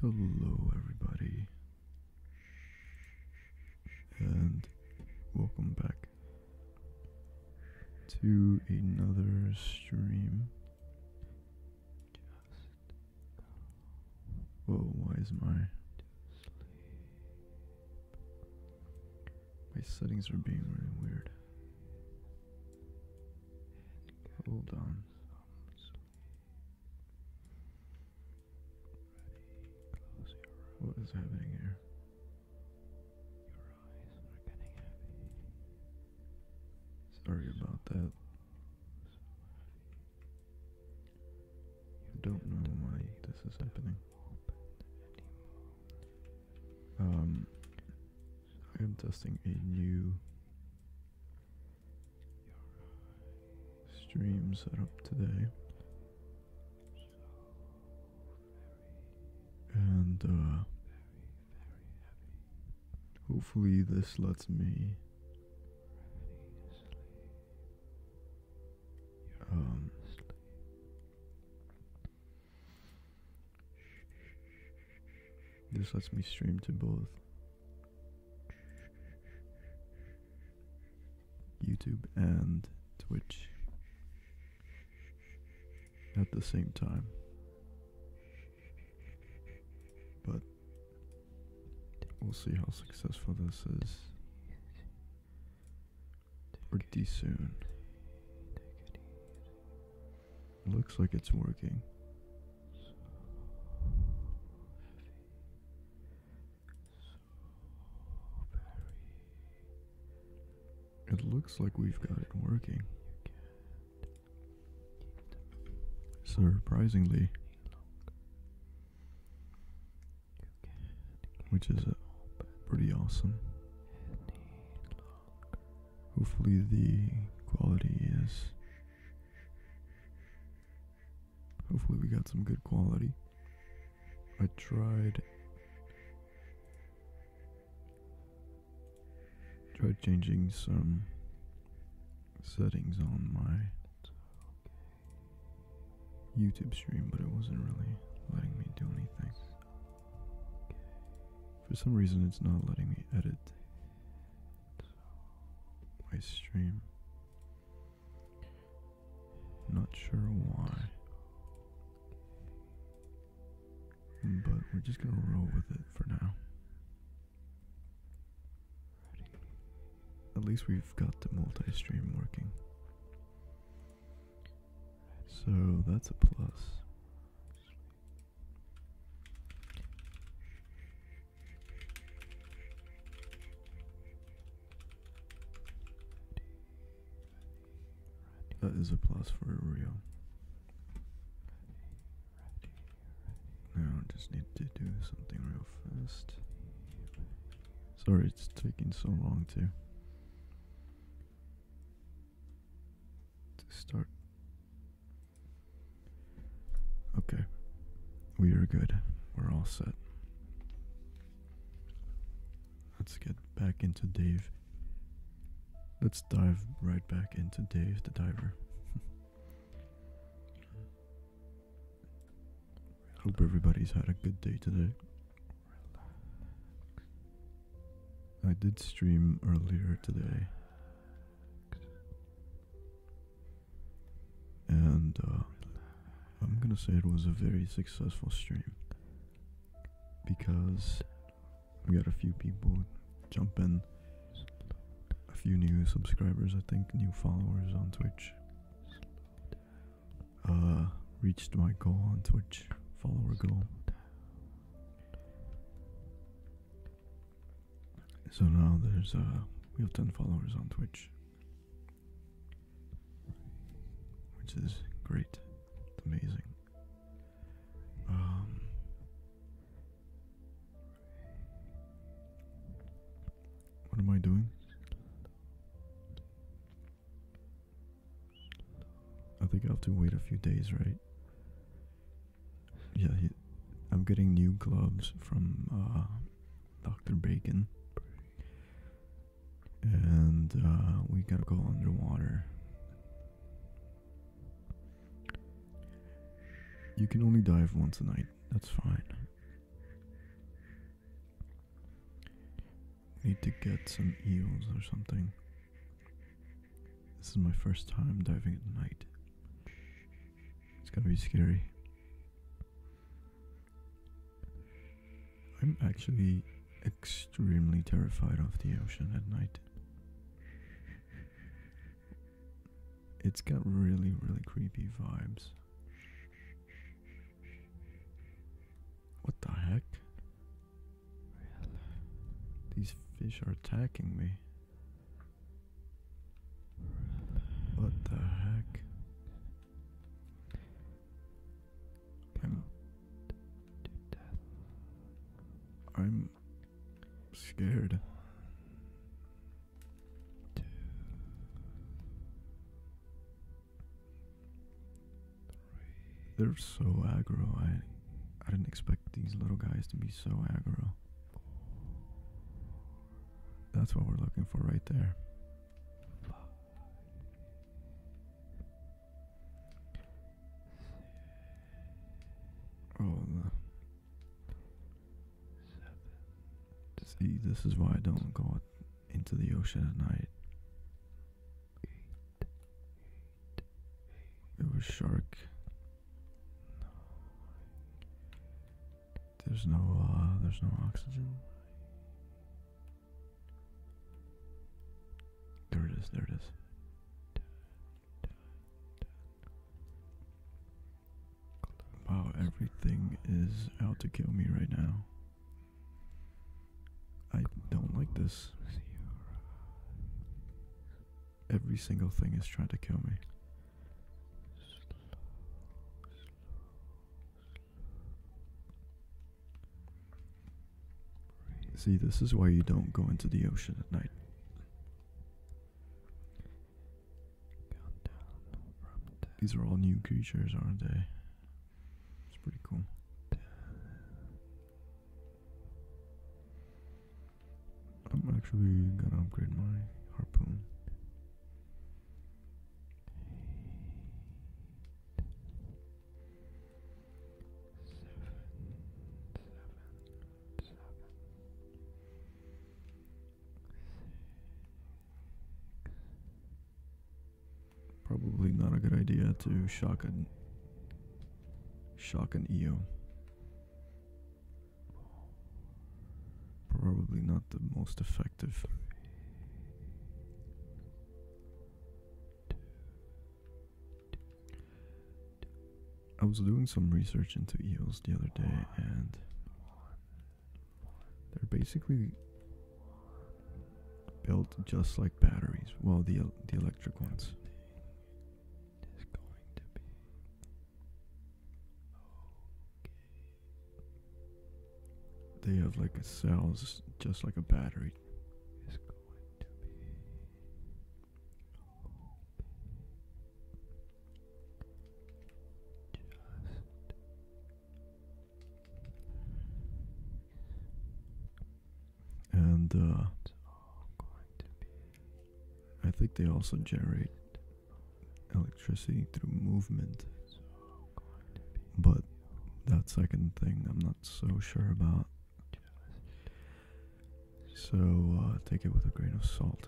Hello, everybody, and welcome back to another stream. Whoa, why is my my settings are being really weird? Hold on what is happening here? Sorry about that. you don't know why this is happening. Um, I am testing a new stream set up today. And uh, hopefully this lets me um, this lets me stream to both YouTube and Twitch at the same time. But we'll see how successful this is pretty soon. Looks like it's working. It looks like we've got it working. Surprisingly, which is uh, pretty awesome. Hopefully, the quality is Hopefully, we got some good quality. I tried. Tried changing some settings on my YouTube stream, but it wasn't really letting me do anything. For some reason, it's not letting me edit waste stream. Not sure why. But we're just gonna roll with it for now. At least we've got the multi stream working. So that's a plus. That is a plus for a real. Now I just need to do something real fast. Sorry, it's taking so long to start Okay. We are good. We're all set. Let's get back into Dave. Let's dive right back into Dave the Diver. Hope everybody's had a good day today. I did stream earlier today and uh, I'm gonna say it was a very successful stream because we got a few people jumping, a few new subscribers, I think, new followers on Twitch. Uh, reached my goal on Twitch, follower goal. So now there's uh, we have 10 followers on Twitch, which is great. amazing. Um, what am I doing? I think I have to wait a few days, right? Yeah, I'm getting new gloves from uh, Dr. Bacon. And uh, we gotta go underwater. You can only dive once a night, that's fine. Need to get some eels or something. This is my first time diving at night. It's gonna be scary. I'm actually extremely terrified of the ocean at night. It's got really, really creepy vibes. What the heck? These fish are attacking me. What the heck? I'm scared. they They're so aggro. I I didn't expect these little guys to be so aggro. That's what we're looking for right there. Oh, see, this is why I don't go into the ocean at night. It was shark. There's no uh, there's no oxygen. There it is, there it is. Wow, everything is out to kill me right now. I don't like this. Every single thing is trying to kill me. See, this is why you don't go into the ocean at night. These are all new creatures, aren't they? It's pretty cool. I'm actually gonna upgrade my harpoon. Probably not a good idea to shock an shock an EO. Probably not the most effective. I was doing some research into eels the other day, and they're basically built just like batteries. Well, the the electric ones. They have like cells just like a battery. and uh, I think they also generate electricity through movement. But that second thing I'm not so sure about. So uh, take it with a grain of salt.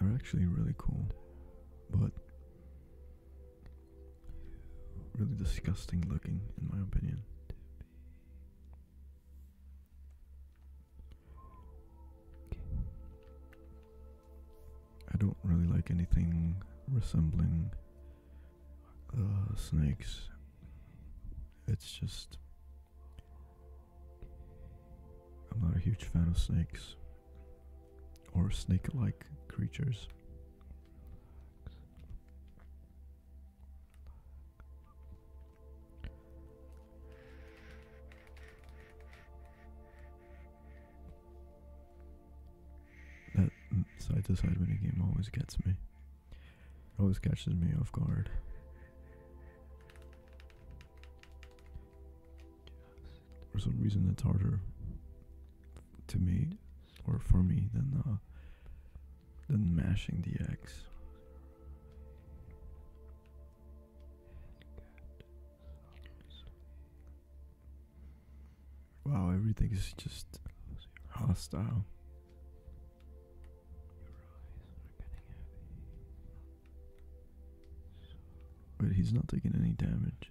They're actually really cool, but Really disgusting looking, in my opinion. I don't really like anything resembling uh, snakes. It's just. I'm not a huge fan of snakes or snake like creatures. That side to side game always gets me. always catches me off guard. For some reason, it's harder to me or for me than uh, than mashing the X. Wow, everything is just hostile. But he's not taking any damage.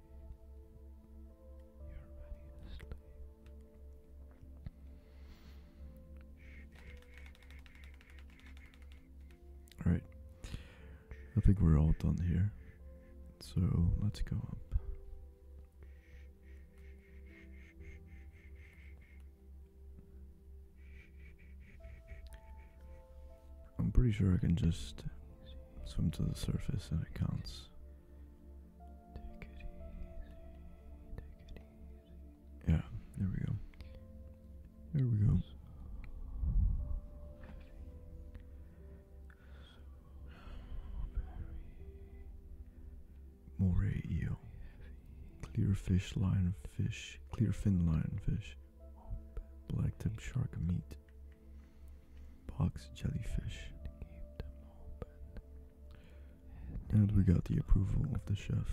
Alright, I think we're all done here. So let's go up. I'm pretty sure I can just swim to the surface and it counts. Yeah, there we go. There we go. Moray eel. Clear fish, lionfish, clear fin lionfish, blacktip shark meat, box jellyfish and we got the approval of the chef.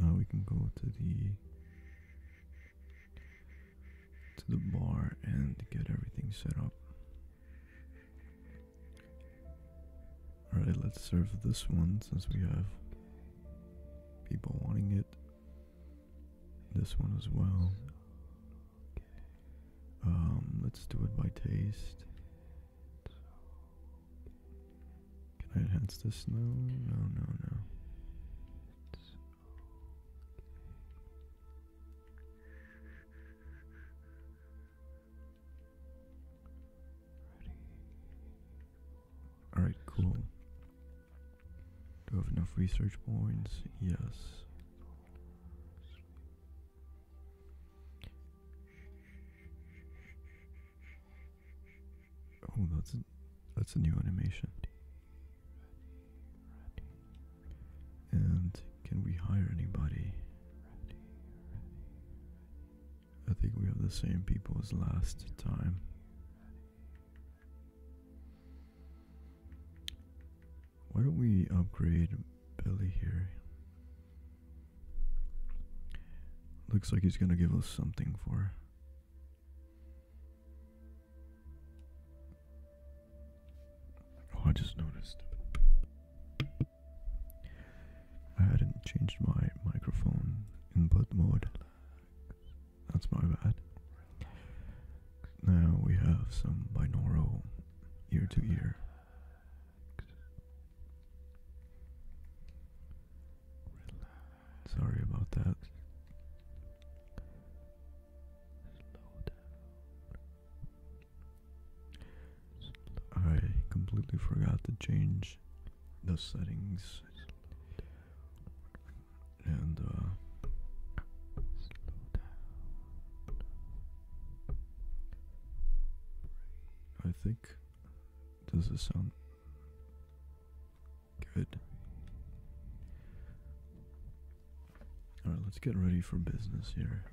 Now we can go to the to the bar and get everything set up. Alright, let's serve this one since we have people wanting it. This one as well. Um, let's do it by taste. Can I enhance this? No, no, no, no. Alright, cool. Do we have enough research points? Yes. Oh, that's a, that's a new animation. And can we hire anybody? I think we have the same people as last time. Why don't we upgrade Billy here? Looks like he's gonna give us something for. Oh, I just noticed. I hadn't changed my microphone input mode that's my bad. Now we have some binaural ear to ear. Sorry about that. I completely forgot to change the settings and uh, I think does this sound good? All right, let's get ready for business here.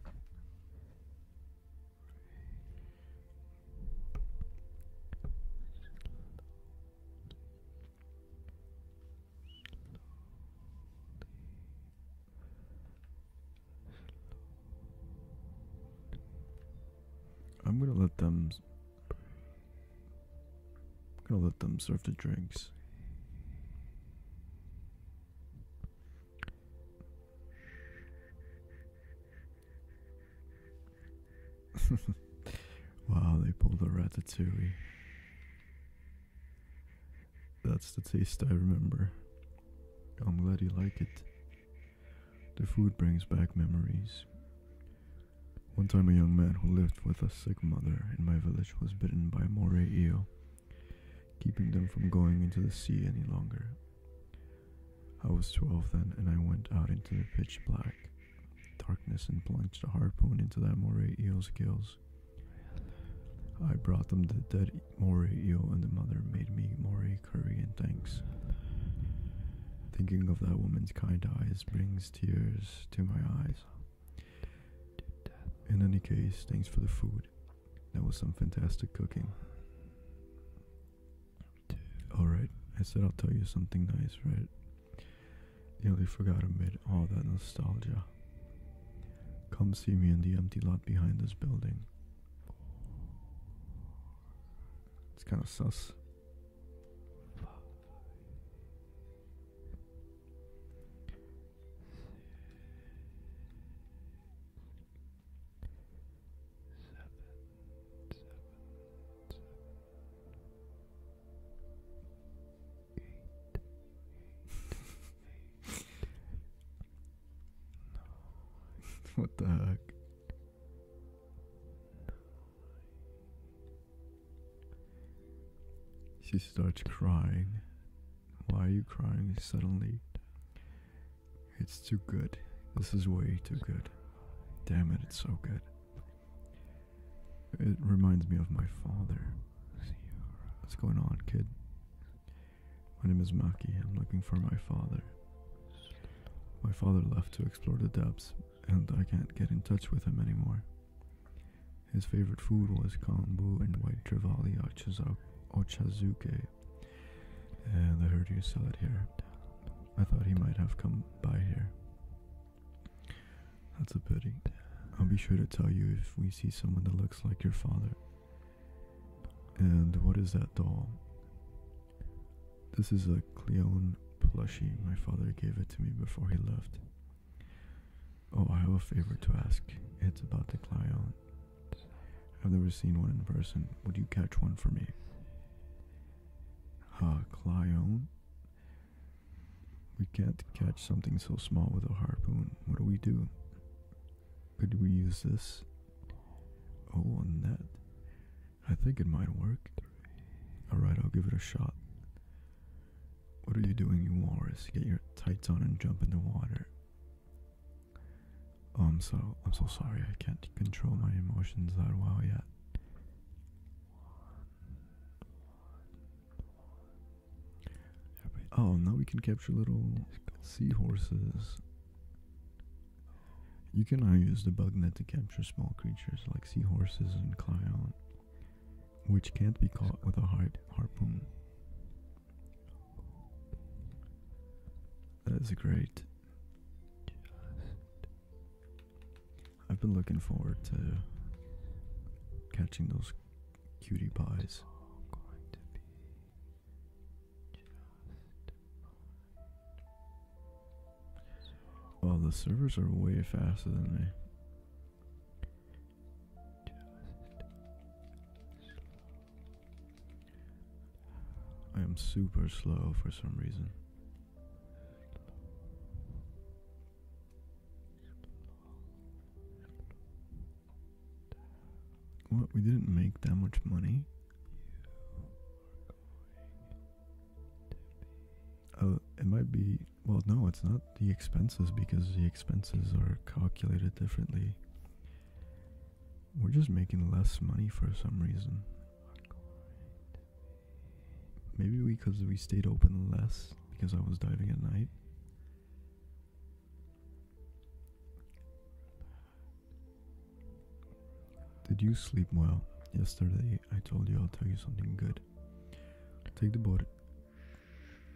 I'm gonna let them. I'm gonna let them serve the drinks. wow, they pulled a ratatouille. That's the taste I remember. I'm glad you like it. The food brings back memories. One time, a young man who lived with a sick mother in my village was bitten by a moray eel, keeping them from going into the sea any longer. I was 12 then, and I went out into the pitch black darkness and plunged a harpoon into that moray eel's gills. I brought them the dead moray eel, and the mother made me moray curry and thanks. Thinking of that woman's kind eyes brings tears to my eyes. In any case, thanks for the food. That was some fantastic cooking. Alright, I said I'll tell you something nice, right? Nearly forgot amid all that nostalgia. Come see me in the empty lot behind this building. It's kind of sus. what the heck? She starts crying. Why are you crying suddenly? It's too good. This is way too good. Damn it, it's so good. It reminds me of my father. What's going on, kid? My name is Maki. I'm looking for my father. My father left to explore the depths, and I can't get in touch with him anymore. His favorite food was kombu and white trevally ochazuke, and I heard you sell it here. I thought he might have come by here. That's a pity. I'll be sure to tell you if we see someone that looks like your father. And what is that doll? This is a Cleone plushie. My father gave it to me before he left. Oh, I have a favor to ask. It's about the Cleone. I've never seen one in person. Would you catch one for me? Ah, uh, we can't catch something so small with a harpoon. What do we do? Could we use this? Oh, a net. I think it might work. Alright, I'll give it a shot. What are you doing, you walrus? Get your tights on and jump in the water. Oh, I'm so I'm so sorry. I can't control my emotions that well yet. Oh, now we can capture little seahorses. You can now use the bug net to capture small creatures like seahorses and clown, which can't be caught with a hard harpoon. That's great. I've been looking forward to catching those cutie pies. Going well, the servers are way faster than me. I am super slow for some reason. What? We didn't make that much money. Uh, it might be. Well, no, it's not the expenses because the expenses are calculated differently. We're just making less money for some reason. Maybe because we stayed open less because I was diving at night. Did you sleep well? Yesterday I told you I'll tell you something good. Take the boat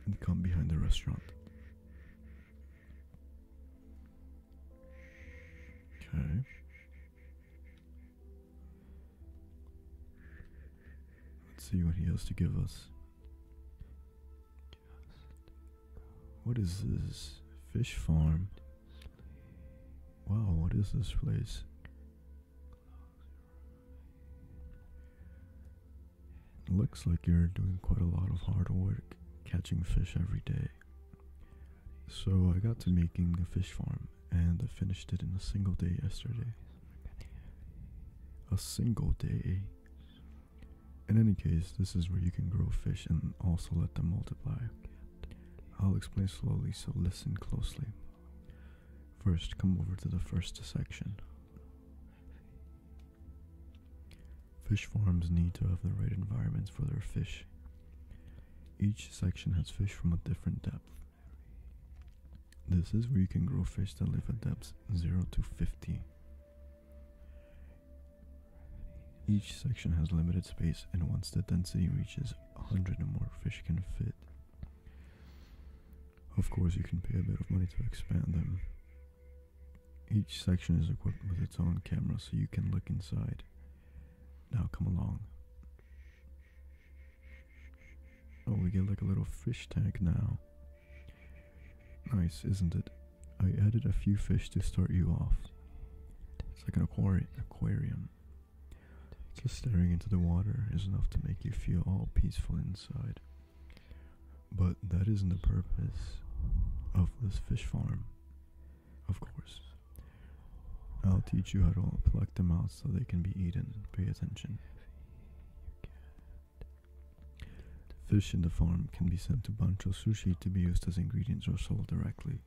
and come behind the restaurant. Okay. Let's see what he has to give us. What is this? Fish farm. Wow, what is this place? Looks like you're doing quite a lot of hard work catching fish every day. So I got to making a fish farm and I finished it in a single day yesterday a single day. In any case, this is where you can grow fish and also let them multiply. I'll explain slowly, so listen closely. First, come over to the first section. Fish farms need to have the right environments for their fish. Each section has fish from a different depth. This is where you can grow fish that live at depths 0 to 50. Each section has limited space and once the density reaches 100 or more fish can fit. Of course you can pay a bit of money to expand them. Each section is equipped with its own camera so you can look inside. Now come along. Oh, we get like a little fish tank now. Nice, isn't it? I added a few fish to start you off. It's like an aquarium. Just staring into the water is enough to make you feel all peaceful inside. But that isn't the purpose of this fish farm. Of course. I'll teach you how to pluck them out so they can be eaten. Pay attention. Fish in the farm can be sent to Bancho Sushi to be used as ingredients or sold directly.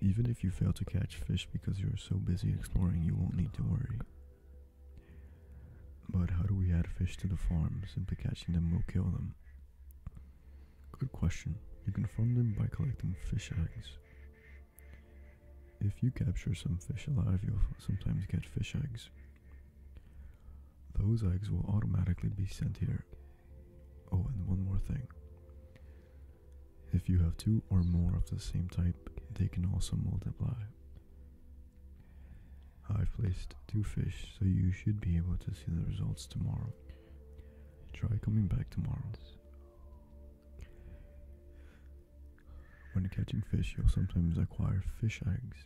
Even if you fail to catch fish because you are so busy exploring, you won't need to worry. But how do we add fish to the farm? Simply catching them will kill them. Good question. You can farm them by collecting fish eggs. If you capture some fish alive, you'll sometimes get fish eggs. Those eggs will automatically be sent here. Oh, and one more thing. If you have two or more of the same type, they can also multiply. I've placed two fish, so you should be able to see the results tomorrow. Try coming back tomorrow. When catching fish, you'll sometimes acquire fish eggs.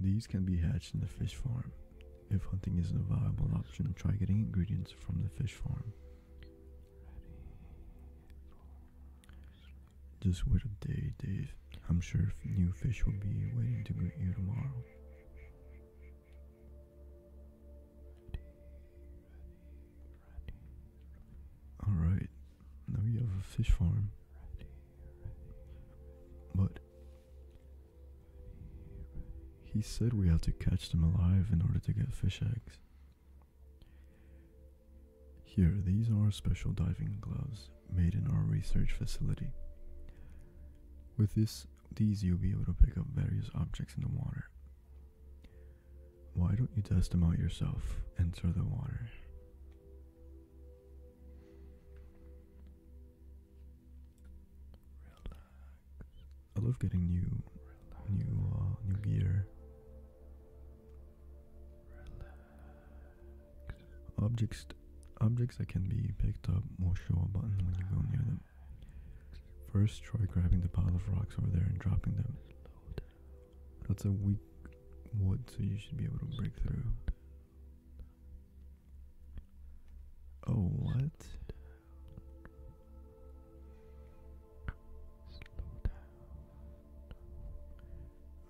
These can be hatched in the fish farm. If hunting isn't a viable option, try getting ingredients from the fish farm. Just wait a day, Dave. I'm sure new fish will be waiting to greet you tomorrow. Alright, now we have a fish farm. But he said we have to catch them alive in order to get fish eggs. Here, these are special diving gloves made in our research facility. With this, these you'll be able to pick up various objects in the water. Why don't you test them out yourself? Enter the water. I love getting new, new, uh, new gear. Objects, objects that can be picked up will show a button when you go near them. First, try grabbing the pile of rocks over there and dropping them. That's a weak wood, so you should be able to break through. Oh, what?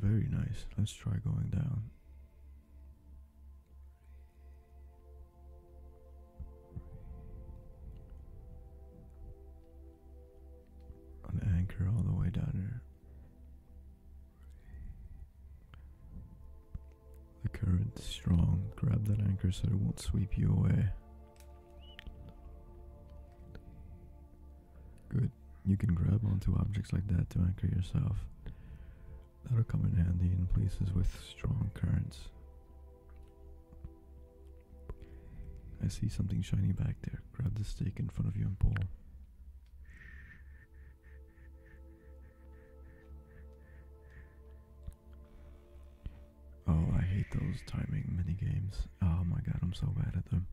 Very nice. Let's try going down. An anchor all the way down here. The current's strong. Grab that anchor so it won't sweep you away. Good. You can grab onto objects like that to anchor yourself. That'll come in handy in places with strong currents. I see something shiny back there. Grab the stick in front of you and pull. Oh, I hate those timing mini games. Oh my god, I'm so bad at them.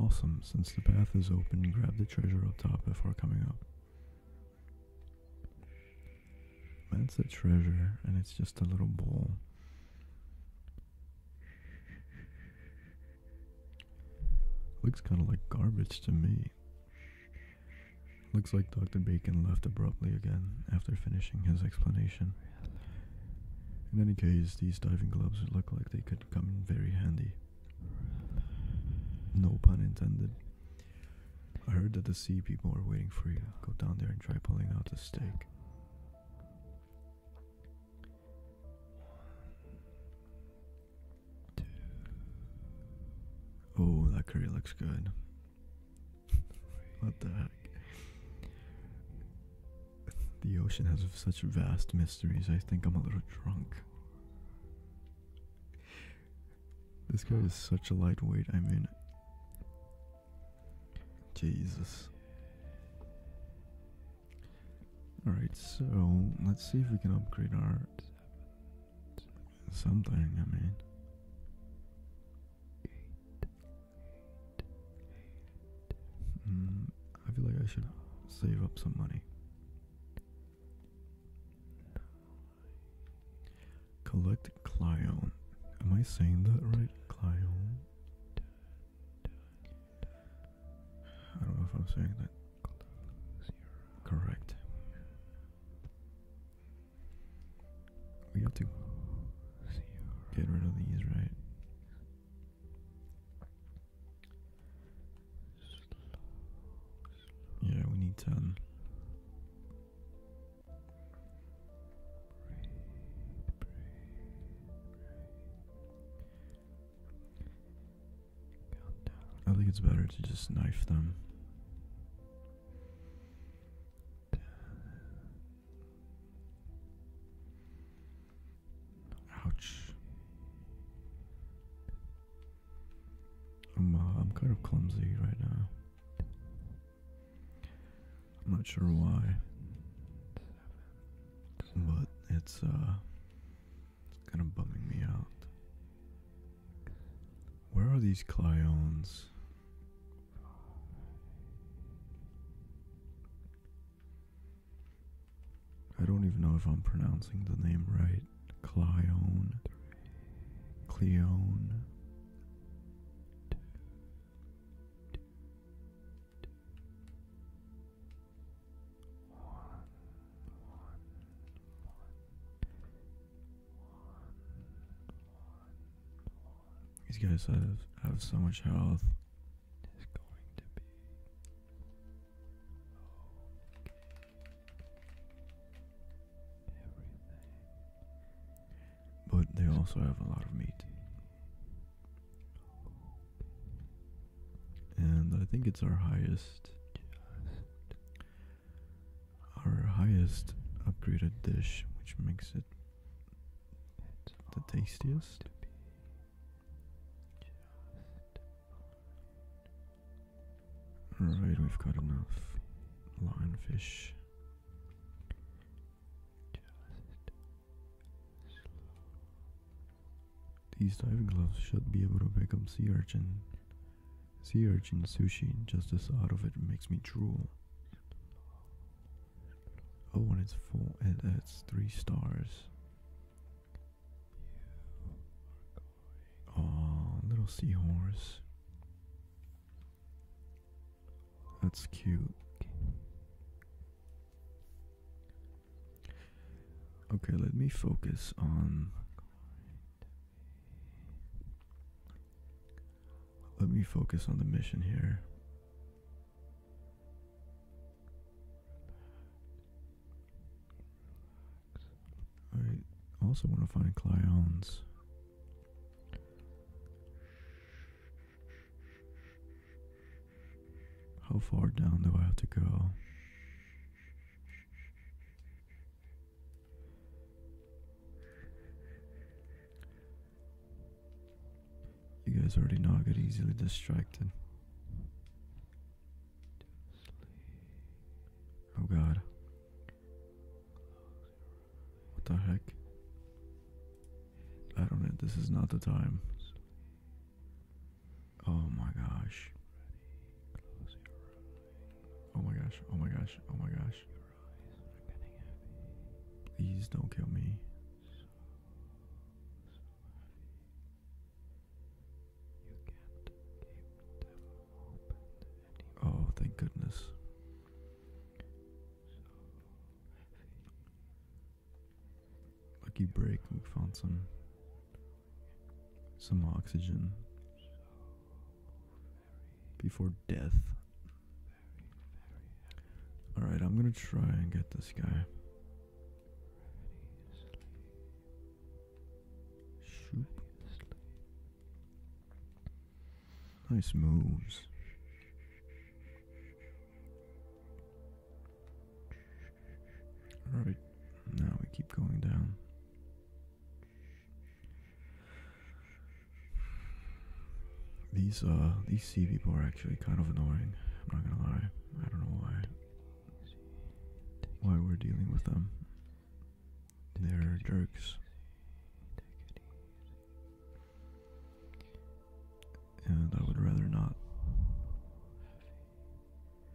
Awesome, since the path is open, grab the treasure up top before coming up. That's a treasure, and it's just a little bowl. Looks kind of like garbage to me. Looks like Dr. Bacon left abruptly again after finishing his explanation. In any case, these diving gloves look like they could come in very handy. No pun intended. I heard that the sea people are waiting for you. Go down there and try pulling out the stake. One, two. Oh, that curry looks good. what the heck? The ocean has such vast mysteries. I think I'm a little drunk. This guy is such a lightweight. I mean, Jesus. Alright, so let's see if we can upgrade our something, I mean. Hmm, I feel like I should save up some money. Collect Clion. Am I saying that right? Clion? I don't know if I'm saying that correct. We have to get rid of these, right? Yeah, we need ten. I think it's better to just knife them. Ouch. I'm, uh, I'm kind of clumsy right now. I'm not sure why but it's uh it's kind of bumming me out. Where are these Clyons? I don't even know if I'm pronouncing the name right. Clyon. Cleone one. These guys have, have so much health. But they also have a lot of meat and I think it's our highest our highest upgraded dish which makes it the tastiest Alright, we've got enough lionfish. These diving gloves should be able to pick up sea urchin. Sea urchin sushi, just the thought of it makes me drool. Oh, and it's full, and that's three stars. Oh, little seahorse. That's cute. Okay, let me focus on. Let me focus on the mission here. I also want to find Clyons. How far down do I have to go? You guys already know I get easily distracted. Oh god. What the heck? I don't know, this is not the time. Oh my gosh. Oh my gosh. Oh my gosh. Oh my gosh. Please don't kill me. Oh, thank goodness. Lucky break, we found some some oxygen before death. Alright, I'm gonna try and get this guy. Nice moves. Right now we keep going down. These uh these sea people are actually kind of annoying. I'm not gonna lie. I don't know why. Why we're dealing with them. They're jerks. And I would rather not.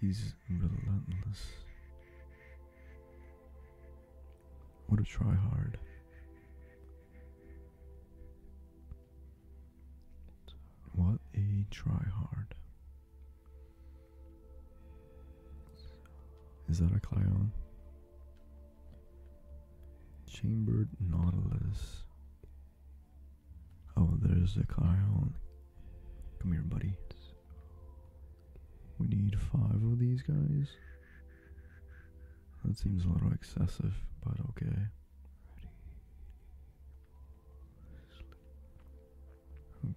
He's relentless. What a try hard. What a try hard. Is that a Clyon? Chambered Nautilus. Oh, there's the car. Come here, buddy. We need five of these guys. That seems a little excessive, but okay.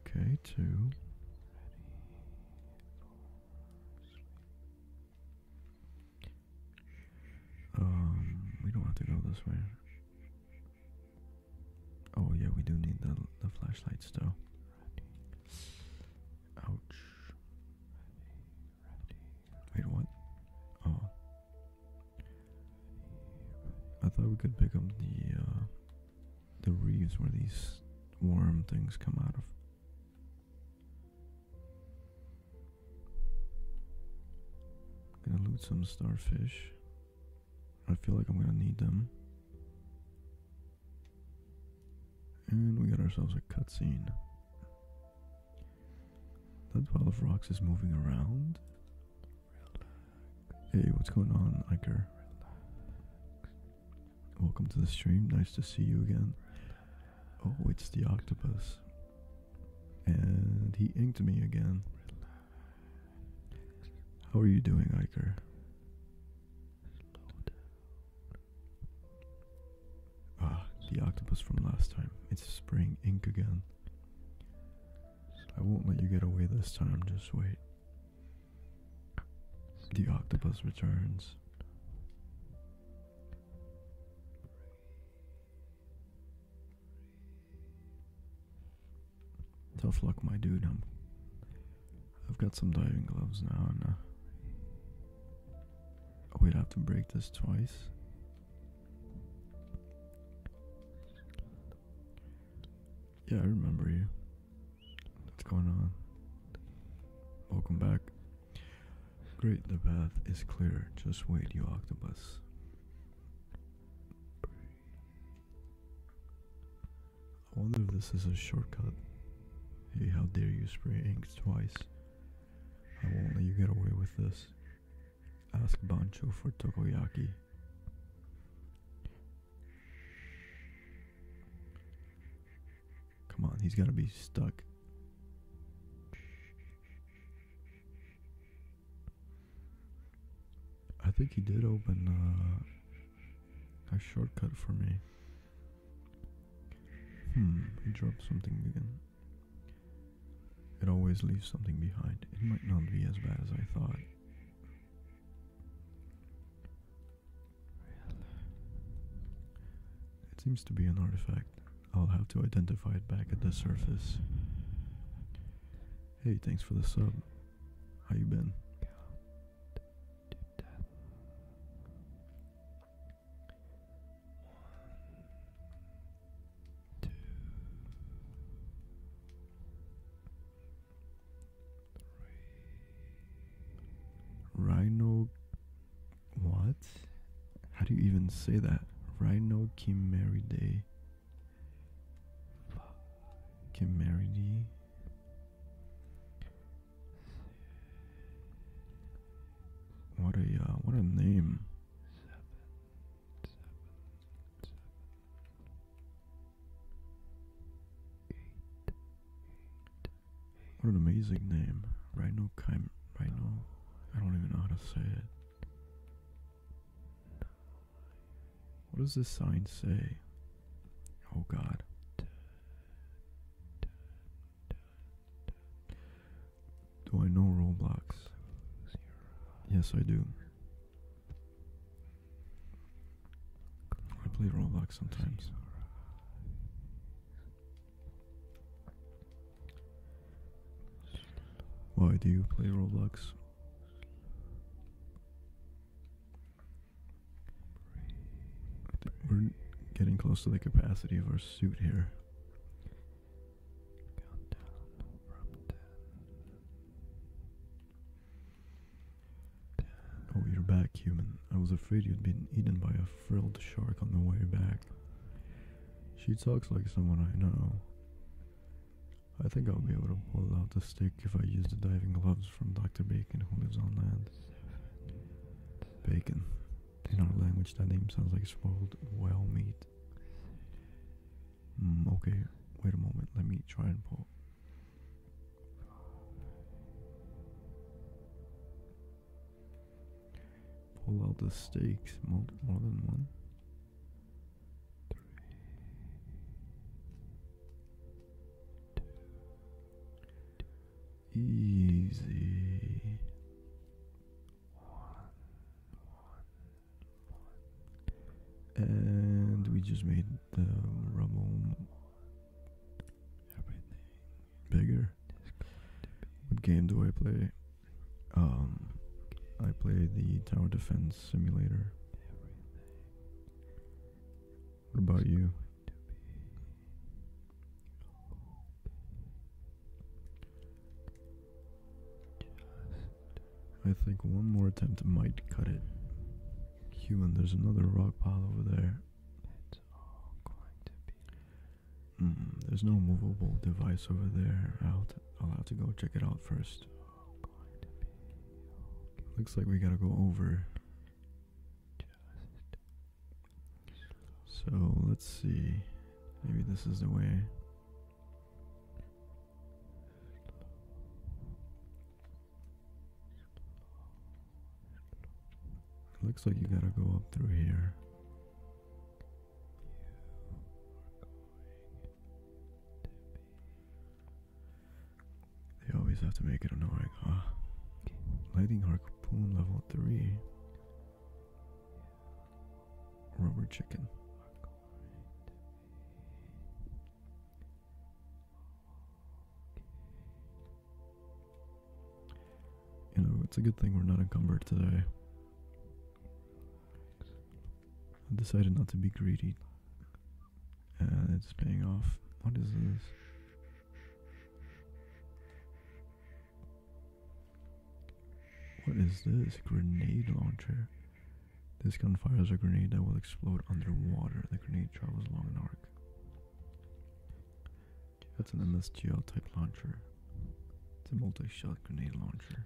Okay, two. Um, we don't have to go this way. Oh yeah, we do need the the flashlights though. Ouch. Wait, what? Oh. I thought we could pick up the uh, the reeds where these worm things come out of. Gonna loot some starfish. I feel like I'm gonna need them. And we got ourselves a cutscene. That pile of rocks is moving around. Hey, what's going on, Iker? Welcome to the stream. Nice to see you again. Oh, it's the octopus. And he inked me again. How are you doing, Iker? Ah, the octopus from last time. It's spring ink again. I won't let you get away this time, just wait. The octopus returns. Tough luck, my dude. I'm, I've got some diving gloves now, and uh, oh, we'd have to break this twice. Yeah, I remember you. What's going on? Welcome back. Great, the path is clear. Just wait, you octopus. I wonder if this is a shortcut. Hey, how dare you spray ink twice? I won't let you get away with this. Ask Bancho for takoyaki. Come on, he's gotta be stuck. I think he did open uh, a shortcut for me. Hmm, he dropped something again. It always leaves something behind. It might not be as bad as I thought. It seems to be an artifact. I'll have to identify it back at the surface. Hey, thanks for the sub. How you been? Rhino. What? How do you even say that? Rhino Kimeri Day Get married. What a uh, what a name. what an amazing name. Rhino Kime Rhino. I don't even know how to say it. What does this sign say? Oh god. Do I know Roblox? Yes, I do. I play Roblox sometimes. Why do you play Roblox? We're getting close to the capacity of our suit here. Oh, you're back, human. I was afraid you'd been eaten by a frilled shark on the way back. She talks like someone I know. I think I'll be able to pull out the stick if I use the diving gloves from Dr. Bacon, who lives on land. Bacon. In our language, that name sounds like spoiled well meat. Hmm, okay, wait a moment. Let me try and pull. Pull out the stakes. more than one two, easy, one, one, one, and we just made the Ramon everything bigger. What game do I play? Um, I play the Tower Defense Simulator. What about you? I think one more attempt might cut it. Human, there's another rock pile over there. there's no movable device over there. i I'll have to go check it out first. Looks like we gotta go over. So let's see. Maybe this is the way. Looks like you gotta go up through here. They always have to make it annoying, huh? Okay. Lighting harpoon level 3. Rubber chicken. You know, it's a good thing we're not encumbered today. I decided not to be greedy. And it's paying off. What is this? What is this? Grenade launcher. This gun fires a grenade that will explode underwater. The grenade travels along an arc. That's an MSGL type launcher. It's a multi-shot grenade launcher.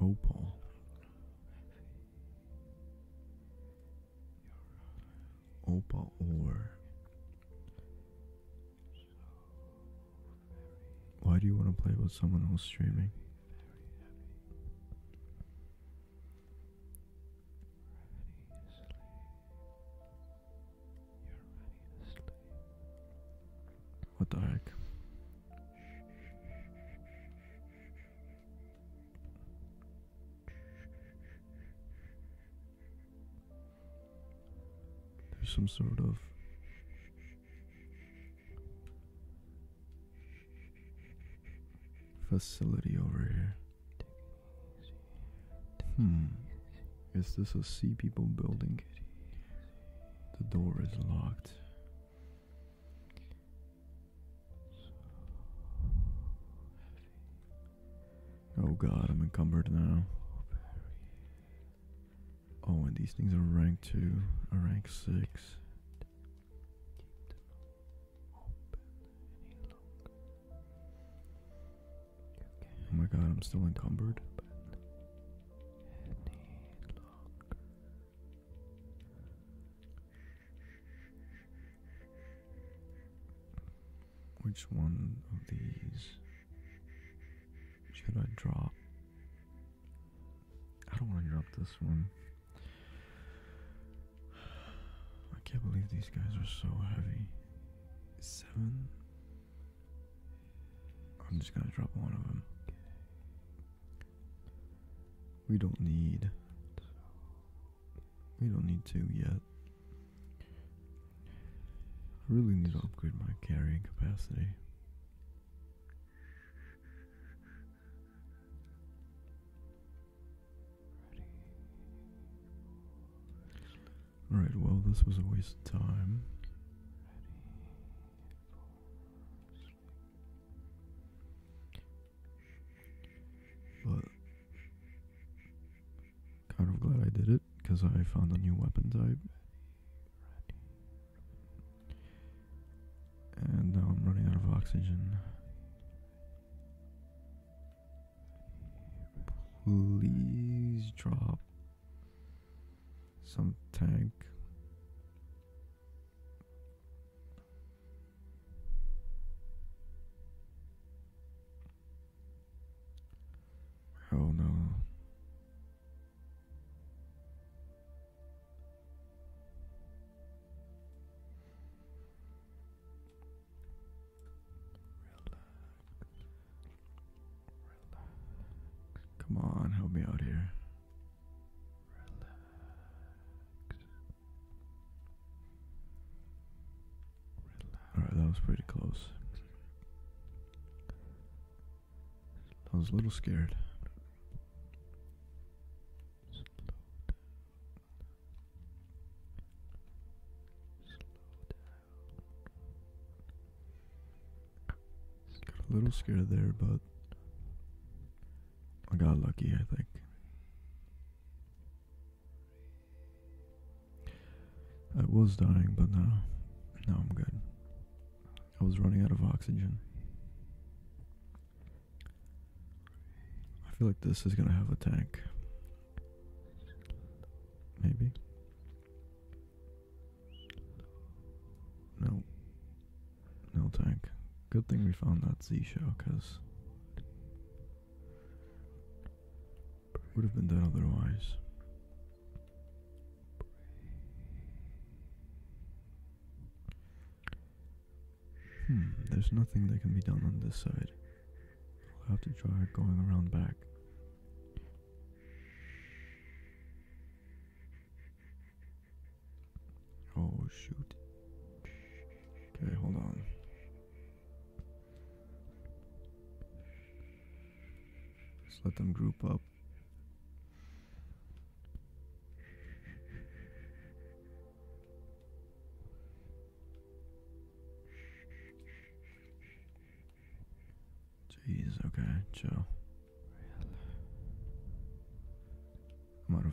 Opal. Oh, Opal oh, ore. Why do you want to play with someone else streaming? What the heck? There's some sort of facility over here. Hmm. Is this a sea people building? The door is locked. Oh god, I'm encumbered now. Oh, and these things are rank 2, are rank 6. Oh my god, I'm still encumbered. Which one of these should I drop? I don't want to drop this one. I can't believe these guys are so heavy. Seven I'm just gonna drop one of them. We don't need. We don't need to yet. I really need to upgrade my carrying capacity. Alright, well, this was a waste of time kind of glad I did it because I found a new weapon type. And now I'm running out of oxygen. Please drop some tank. oh no Come on, help me out here. Alright, that was pretty close. I was a little scared. Got a little scared there, but I got lucky, I think. I was dying, but now, now I'm good. I was running out of oxygen. I feel like this is gonna have a tank. Maybe. No. No tank. Good thing we found that Z shell, cause would have been dead otherwise. Hmm, there's nothing that can be done on this side. we will have to try going around back. Oh shoot. Okay, hold on. Just let them group up. Jeez, okay, Joe. I'm out of.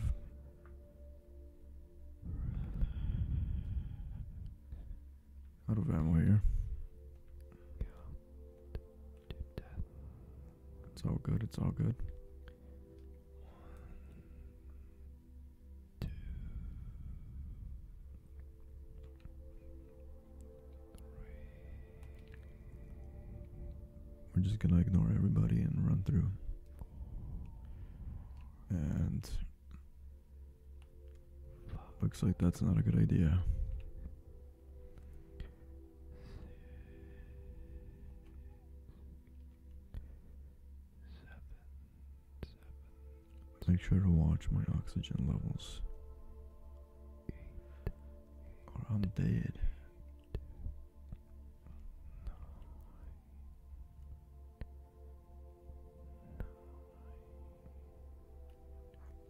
Out of ammo here. It's all good, it's all good. We're just gonna ignore everybody and run through. And looks like that's not a good idea. Make sure to watch my oxygen levels or on the bed.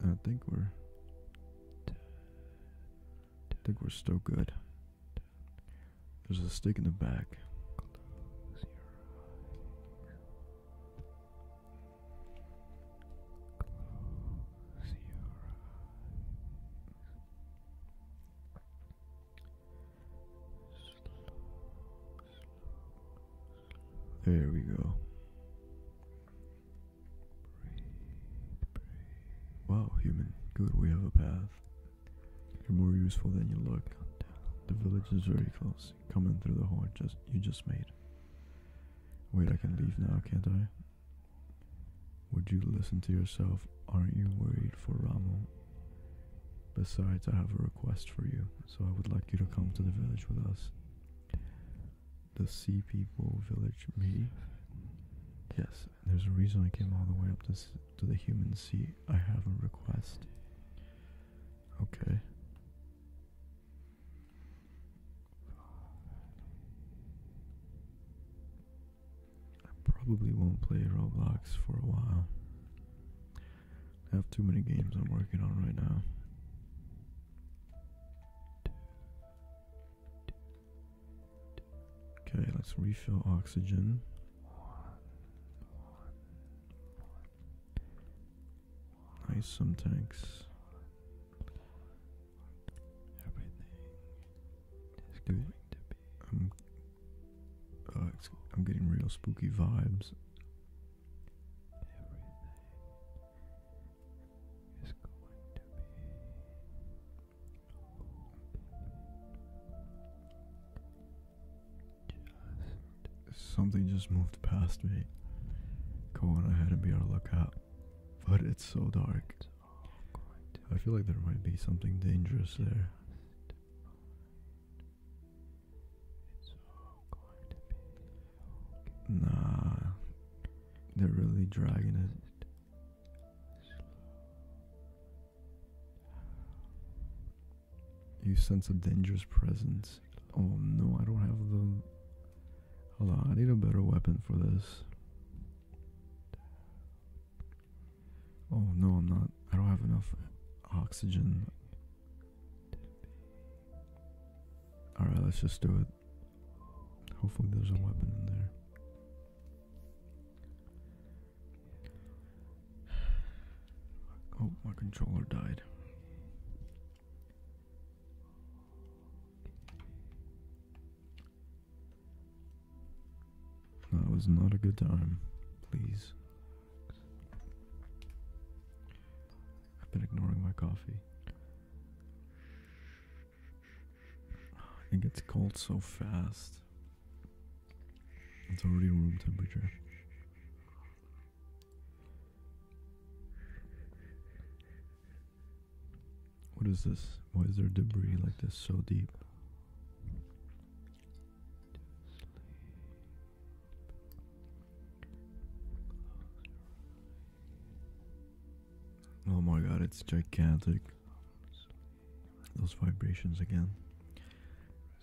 I think we're I think we're still good. There's a stick in the back. There we go. Wow, human. Good, we have a path. You're more useful than you look. The village is very close. Come in through the hole just you just made. Wait, I can leave now, can't I? Would you listen to yourself? Aren't you worried for Ramo? Besides, I have a request for you, so I would like you to come to the village with us. The Sea People Village meeting? Yes, there's a reason I came all the way up to, to the human sea. I have a request. Okay. I probably won't play Roblox for a while. I have too many games I'm working on right now. Okay, let's refill oxygen. Nice some tanks. Everything is going to be. I'm, um, oh, I'm getting real spooky vibes. something just moved past me. Go on ahead and be our lookout. But it's so dark. I feel like there might be something dangerous there. Nah, they're really dragging it. You sense a dangerous presence. Oh no, I don't have the. Hold on, I need a better weapon for this. Oh no, I'm not. I don't have enough oxygen. Alright, let's just do it. Hopefully, there's a weapon in there. Oh, my controller died. That was not a good time. Please. I've been ignoring my coffee. It gets cold so fast. It's already room temperature. What is this? Why is there debris like this so deep? Oh my god, it's gigantic. Those vibrations again.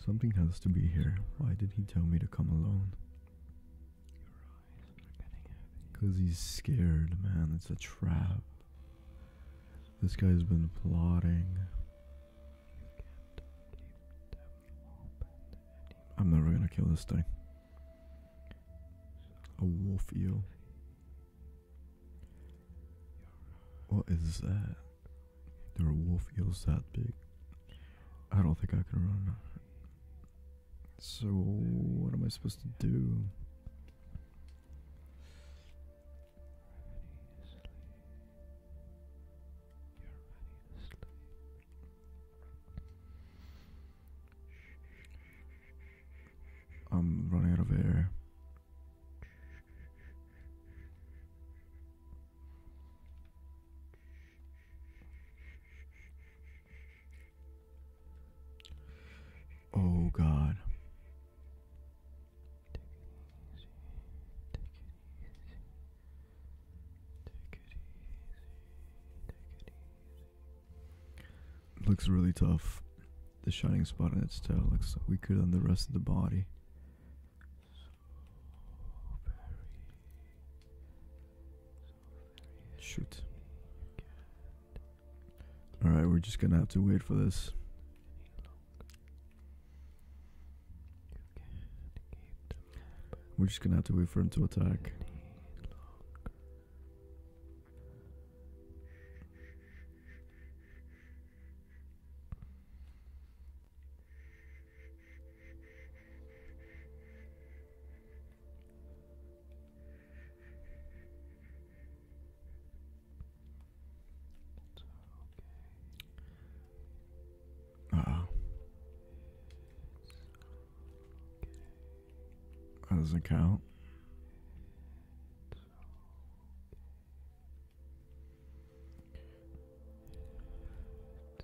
Something has to be here. Why did he tell me to come alone? Because he's scared, man. It's a trap. This guy's been plotting. I'm never gonna kill this thing. A wolf eel. What is that? There are wolf eels that big. I don't think I can run. So, what am I supposed to do? I'm running out of air. Oh God. Looks really tough. The shining spot on its tail looks weaker than the rest of the body. Shoot. Alright, we're just gonna have to wait for this. We're just gonna have to wait for him to attack oh. That doesn't count.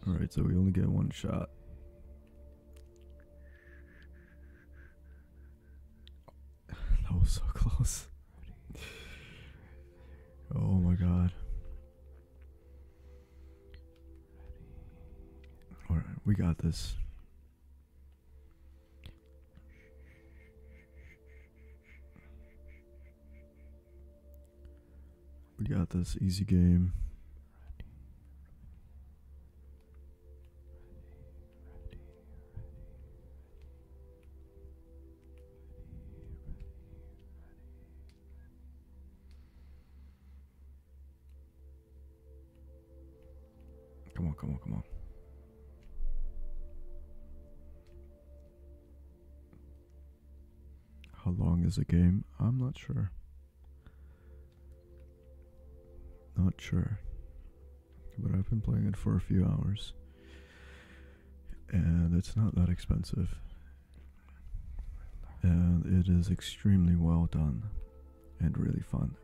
Alright, so we only get one shot. That was so close. Oh my god. Alright, we got this. We got this easy game. Come on, come on, come on. How long is the game? I'm not sure. Not sure but I've been playing it for a few hours, and it's not that expensive. And it is extremely well done and really fun.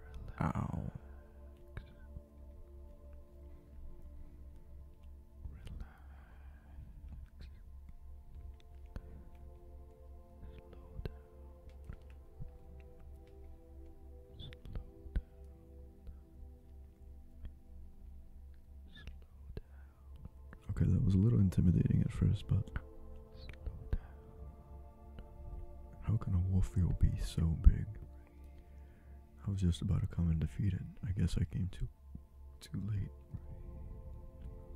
Okay, that was a little intimidating at first, but how can a wolf eel be so big? I was just about to come and defeat it. I guess I came too too late.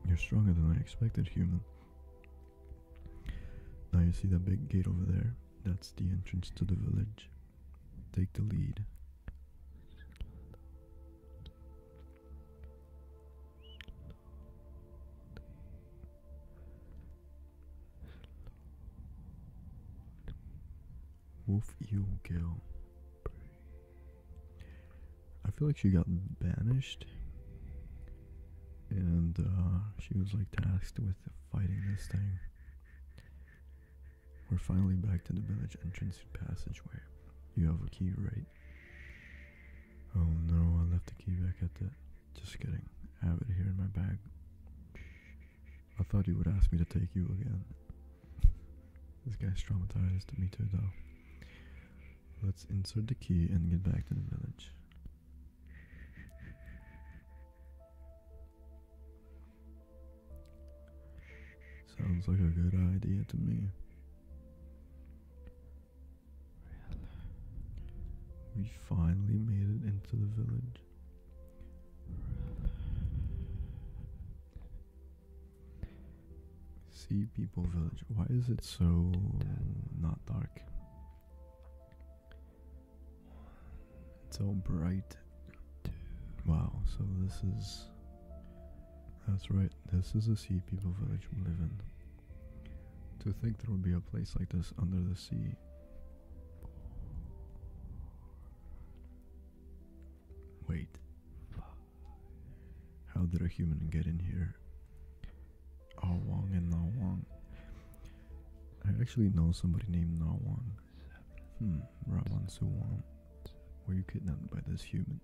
You're stronger than I expected, human. Now you see that big gate over there? That's the entrance to the village take the lead. Wolf Eel Girl. I feel like she got banished, and uh, she was like tasked with fighting this thing. We're finally back to the village entrance passageway. You have a key, right? Oh no, I left the key back at the... Just kidding. I have it here in my bag. I thought you would ask me to take you again. this guy's traumatized. Me too, though. Let's insert the key and get back to the village. Sounds like a good idea to me. We finally made it into the village. Sea People Village. Why is it so not dark? It's all bright. Wow, so this is. That's right, this is the sea people village we live in. To think there would be a place like this under the sea. Wait. How did a human get in here? Ah Wong and Na ah Wong. I actually know somebody named Na ah Wong. Hmm, Raman Suwan, were you kidnapped by this human?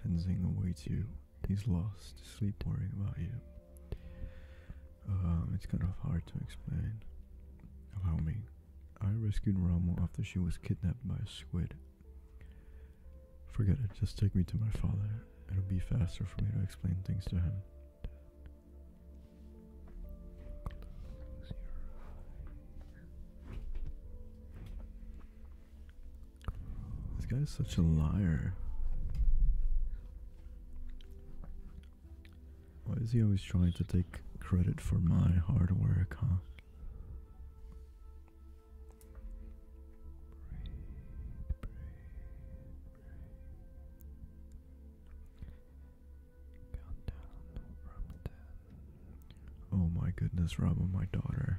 Tenzing awaits you. He's lost, sleep worrying about you. Um, it's kind of hard to explain. Allow me. I rescued Ramon after she was kidnapped by a squid. Forget it, just take me to my father. It'll be faster for me to explain things to him. This guy is such a liar. Why is he always trying to take credit for my hard work, huh? Oh my goodness, Robin, my daughter.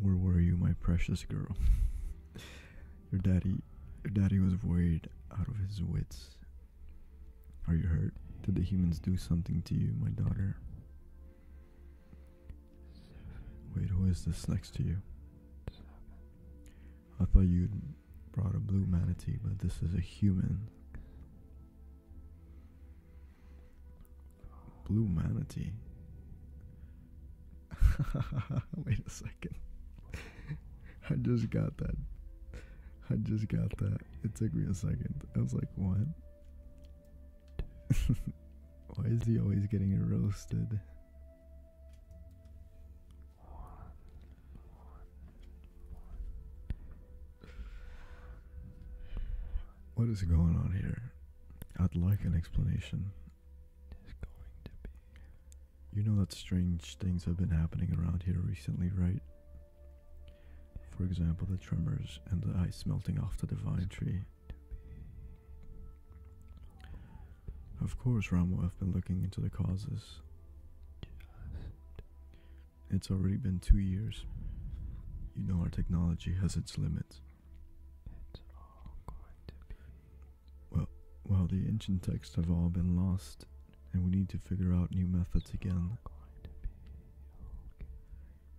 Where were you, my precious girl? your daddy, your daddy was worried out of his wits. Are you hurt? Did the humans do something to you, my daughter? Wait, who is this next to you? I thought you'd Brought a blue manatee, but this is a human. Blue manatee. Wait a second. I just got that. I just got that. It took me a second. I was like, what? Why is he always getting roasted? What is going on here? I'd like an explanation. You know that strange things have been happening around here recently, right? For example, the tremors and the ice melting off the divine tree. Of course, Rommel, I've been looking into the causes. It's already been two years. You know our technology has its limits. It's all going to be. Well, well, the ancient texts have all been lost, and we need to figure out new methods again.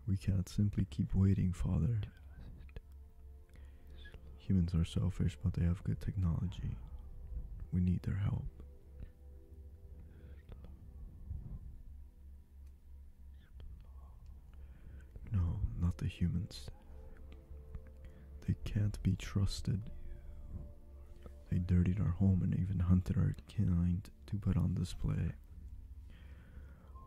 We can't simply keep waiting, Father. Humans are selfish but they have good technology. We need their help. No, not the humans. They can't be trusted. They dirtied our home and even hunted our kind to put on display.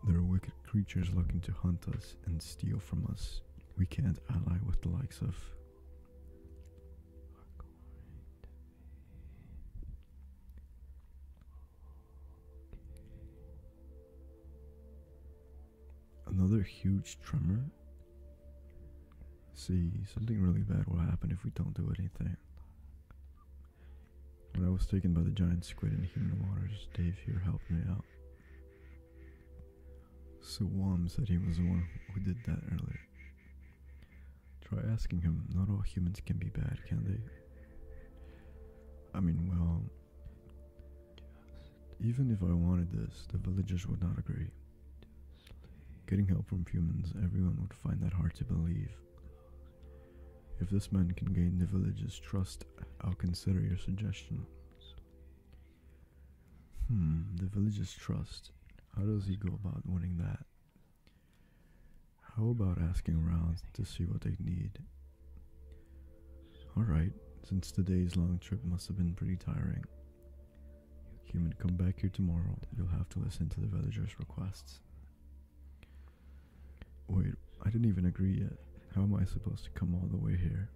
They're wicked creatures looking to hunt us and steal from us. We can't ally with the likes of Another huge tremor. See, something really bad will happen if we don't do anything. When I was taken by the giant squid in human waters, Dave here helped me out. So, Suwam said he was the one who did that earlier. Try asking him. Not all humans can be bad, can they? I mean, well, even if I wanted this, the villagers would not agree. Getting help from humans, everyone would find that hard to believe. If this man can gain the villagers' trust, I'll consider your suggestion. Hmm, the villagers' trust. How does he go about winning that? How about asking around to see what they need? Alright, since today's long trip must have been pretty tiring. Human, come back here tomorrow. You'll have to listen to the villagers' requests. Wait, I didn't even agree yet. How am I supposed to come all the way here?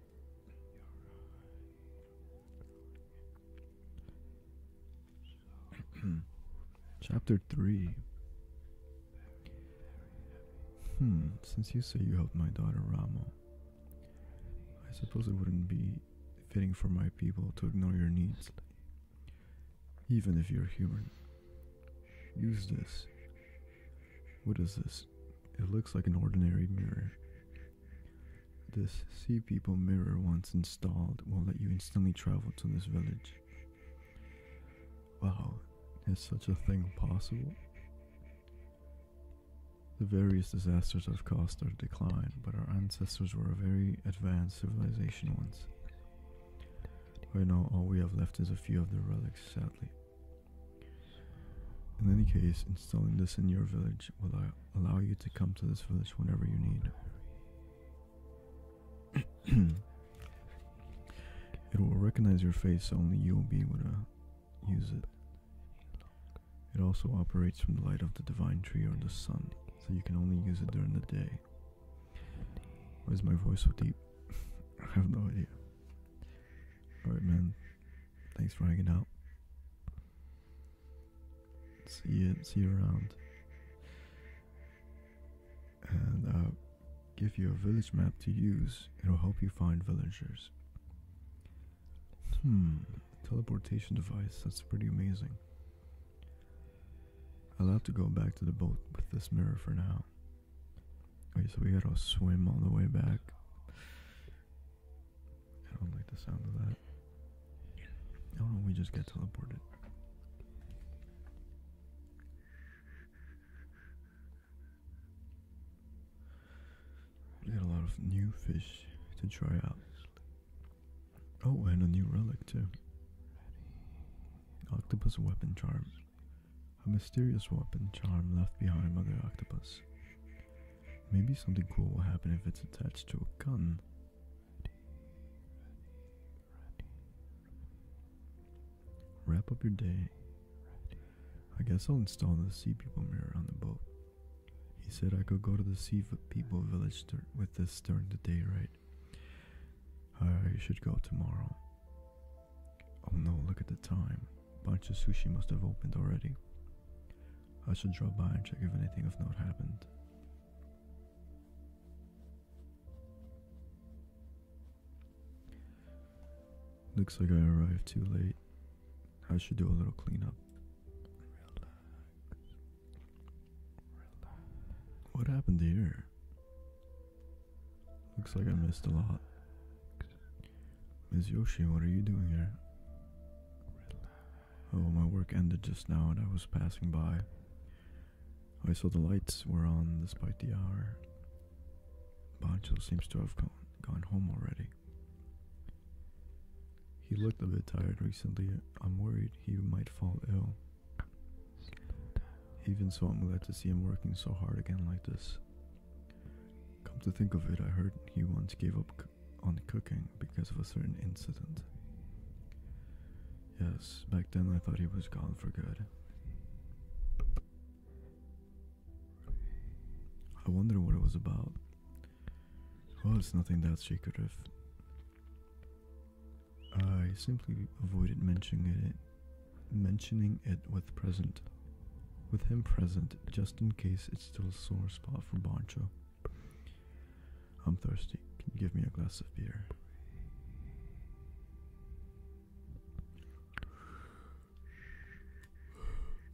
Chapter 3 Hmm, since you say you helped my daughter Rama, I suppose it wouldn't be fitting for my people to ignore your needs, even if you're human. Use this. What is this? It looks like an ordinary mirror. This Sea People mirror, once installed, will let you instantly travel to this village. Wow, is such a thing possible? The various disasters have caused our decline, but our ancestors were a very advanced civilization once. Right now, all we have left is a few of the relics, sadly. In any case, installing this in your village will allow allow you to come to this village whenever you need. it will recognize your face, only you will be able to use it. It also operates from the light of the divine tree or the sun, so you can only use it during the day. Why is my voice so deep? I have no idea. Alright, man. Thanks for hanging out. See you, see you around. And I'll give you a village map to use. It'll help you find villagers. Hmm, teleportation device. That's pretty amazing. I'll have to go back to the boat with this mirror for now. Okay, so we gotta swim all the way back. I don't like the sound of that. I oh, don't know. we just get teleported. We got a lot of new fish to try out. Oh, and a new relic too. Octopus weapon charm. A mysterious weapon charm left behind by the octopus. Maybe something cool will happen if it's attached to a gun. Wrap up your day. I guess I'll install the sea people mirror on the boat. He said I could go to the sea people village with this during the day, right? I should go tomorrow. Oh no, look at the time. Bunch of sushi must have opened already. I should drop by and check if anything of note happened. Looks like I arrived too late. I should do a little cleanup. What happened here? Looks like I missed a lot. Ms. Yoshi, what are you doing here? Oh, my work ended just now and I was passing by. I saw the lights were on despite the hour. Bancho seems to have gone, gone home already. He looked a bit tired recently. I'm worried he might fall ill. Even so, I'm glad to see him working so hard again like this. Come to think of it, I heard he once gave up on cooking because of a certain incident. Yes, back then I thought he was gone for good. I wonder what it was about. Well, it's nothing that she could have. I simply avoided mentioning it, mentioning it with present, with him present, just in case it's still a sore spot for Boncho. I'm thirsty. give me a glass of beer?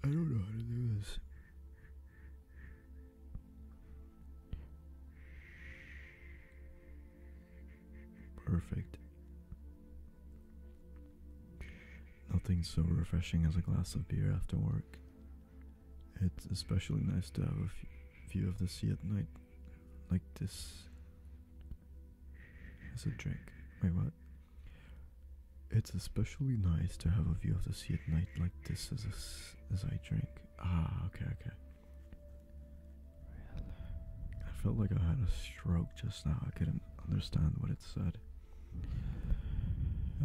I don't know how to do this. Perfect. Nothing so refreshing as a glass of beer after work. It's especially nice to have a view of the sea at night, like this. As a drink. Wait, what? It's especially nice to have a view of the sea at night, like this. As as I drink. Ah, okay, okay. I felt like I had a stroke just now. I couldn't understand what it said.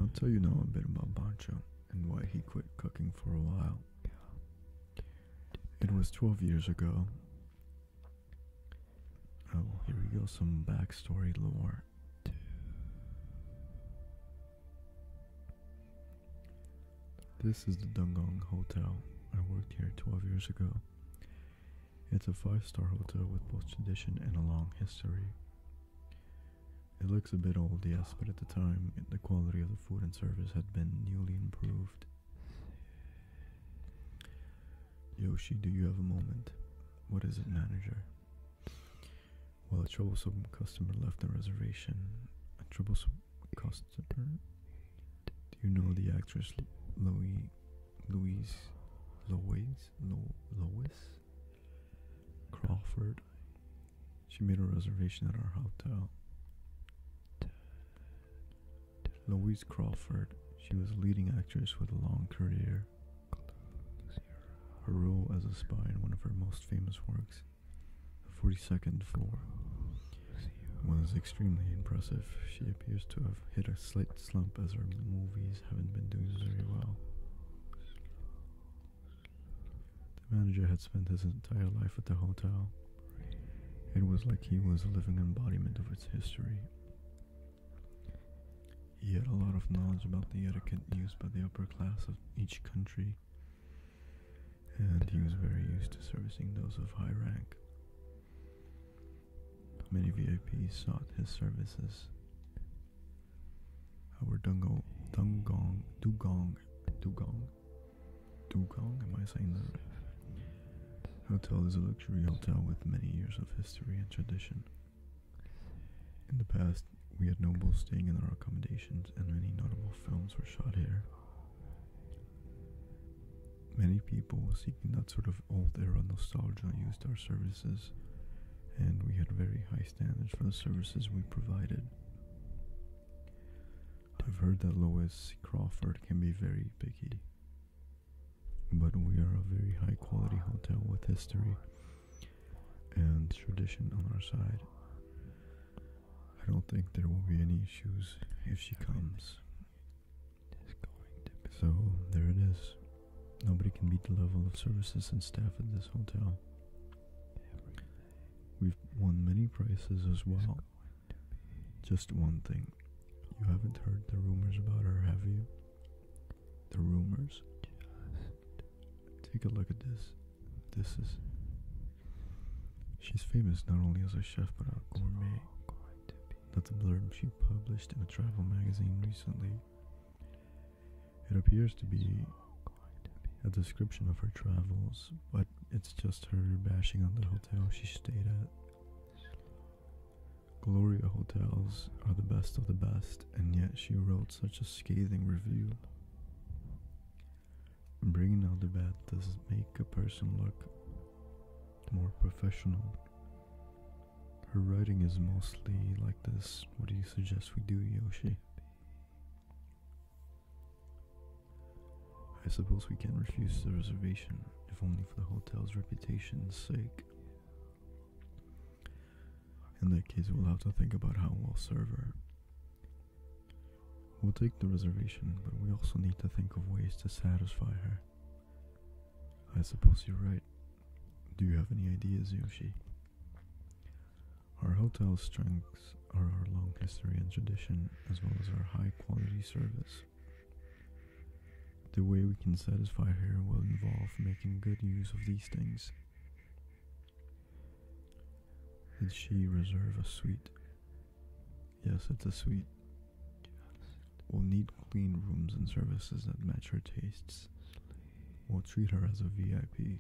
I'll tell you now a bit about Banjo and why he quit cooking for a while. It was 12 years ago. Oh, here we go, some backstory lore. This is the Dungong Hotel. I worked here 12 years ago. It's a five-star hotel with both tradition and a long history. It looks a bit old, yes, but at the time the quality of the food and service had been newly improved. Yoshi, do you have a moment? What is it, manager? Well, a troublesome customer left a reservation. A troublesome customer? Do you know the actress Louise, Louise, Lois, Lo, Lois Crawford? She made a reservation at our hotel. Louise Crawford, she was a leading actress with a long career. Her role as a spy in one of her most famous works, The 42nd Floor, was extremely impressive. She appears to have hit a slight slump as her movies haven't been doing very well. The manager had spent his entire life at the hotel. It was like he was a living embodiment of its history. He had a lot of knowledge about the etiquette used by the upper class of each country, and he was very used to servicing those of high rank. Many VIPs sought his services. Our Dungong, Dungong, Dugong, Dugong Dugong, am I saying that right? Hotel is a luxury hotel with many years of history and tradition. In the past, we had nobles staying in our accommodations, and many notable films were shot here. Many people seeking that sort of old era nostalgia used our services, and we had very high standards for the services we provided. I've heard that Lois Crawford can be very picky, but we are a very high quality hotel with history and tradition on our side. I don't think there will be any issues if she comes. So there it is. Nobody can beat the level of services and staff at this hotel. We've won many prizes as well. Just one thing. You haven't heard the rumors about her, have you? The rumors? Take a look at this. This is. She's famous not only as a chef but a gourmet. That's a blurb she published in a travel magazine recently. It appears to be a description of her travels, but it's just her bashing on the hotel she stayed at. Gloria hotels are the best of the best, and yet she wrote such a scathing review. Bringing out the bad does make a person look more professional. Her writing is mostly like this. What do you suggest we do, Yoshi? I suppose we can refuse the reservation, if only for the hotel's reputation's sake. In that case, we'll have to think about how we'll serve her. We'll take the reservation, but we also need to think of ways to satisfy her. I suppose you're right. Do you have any ideas, Yoshi? Our hotel's strengths are our long history and tradition, as well as our high quality service. The way we can satisfy her will involve making good use of these things. Did she reserve a suite? Yes, it's a suite. We'll need clean rooms and services that match her tastes. We'll treat her as a VIP.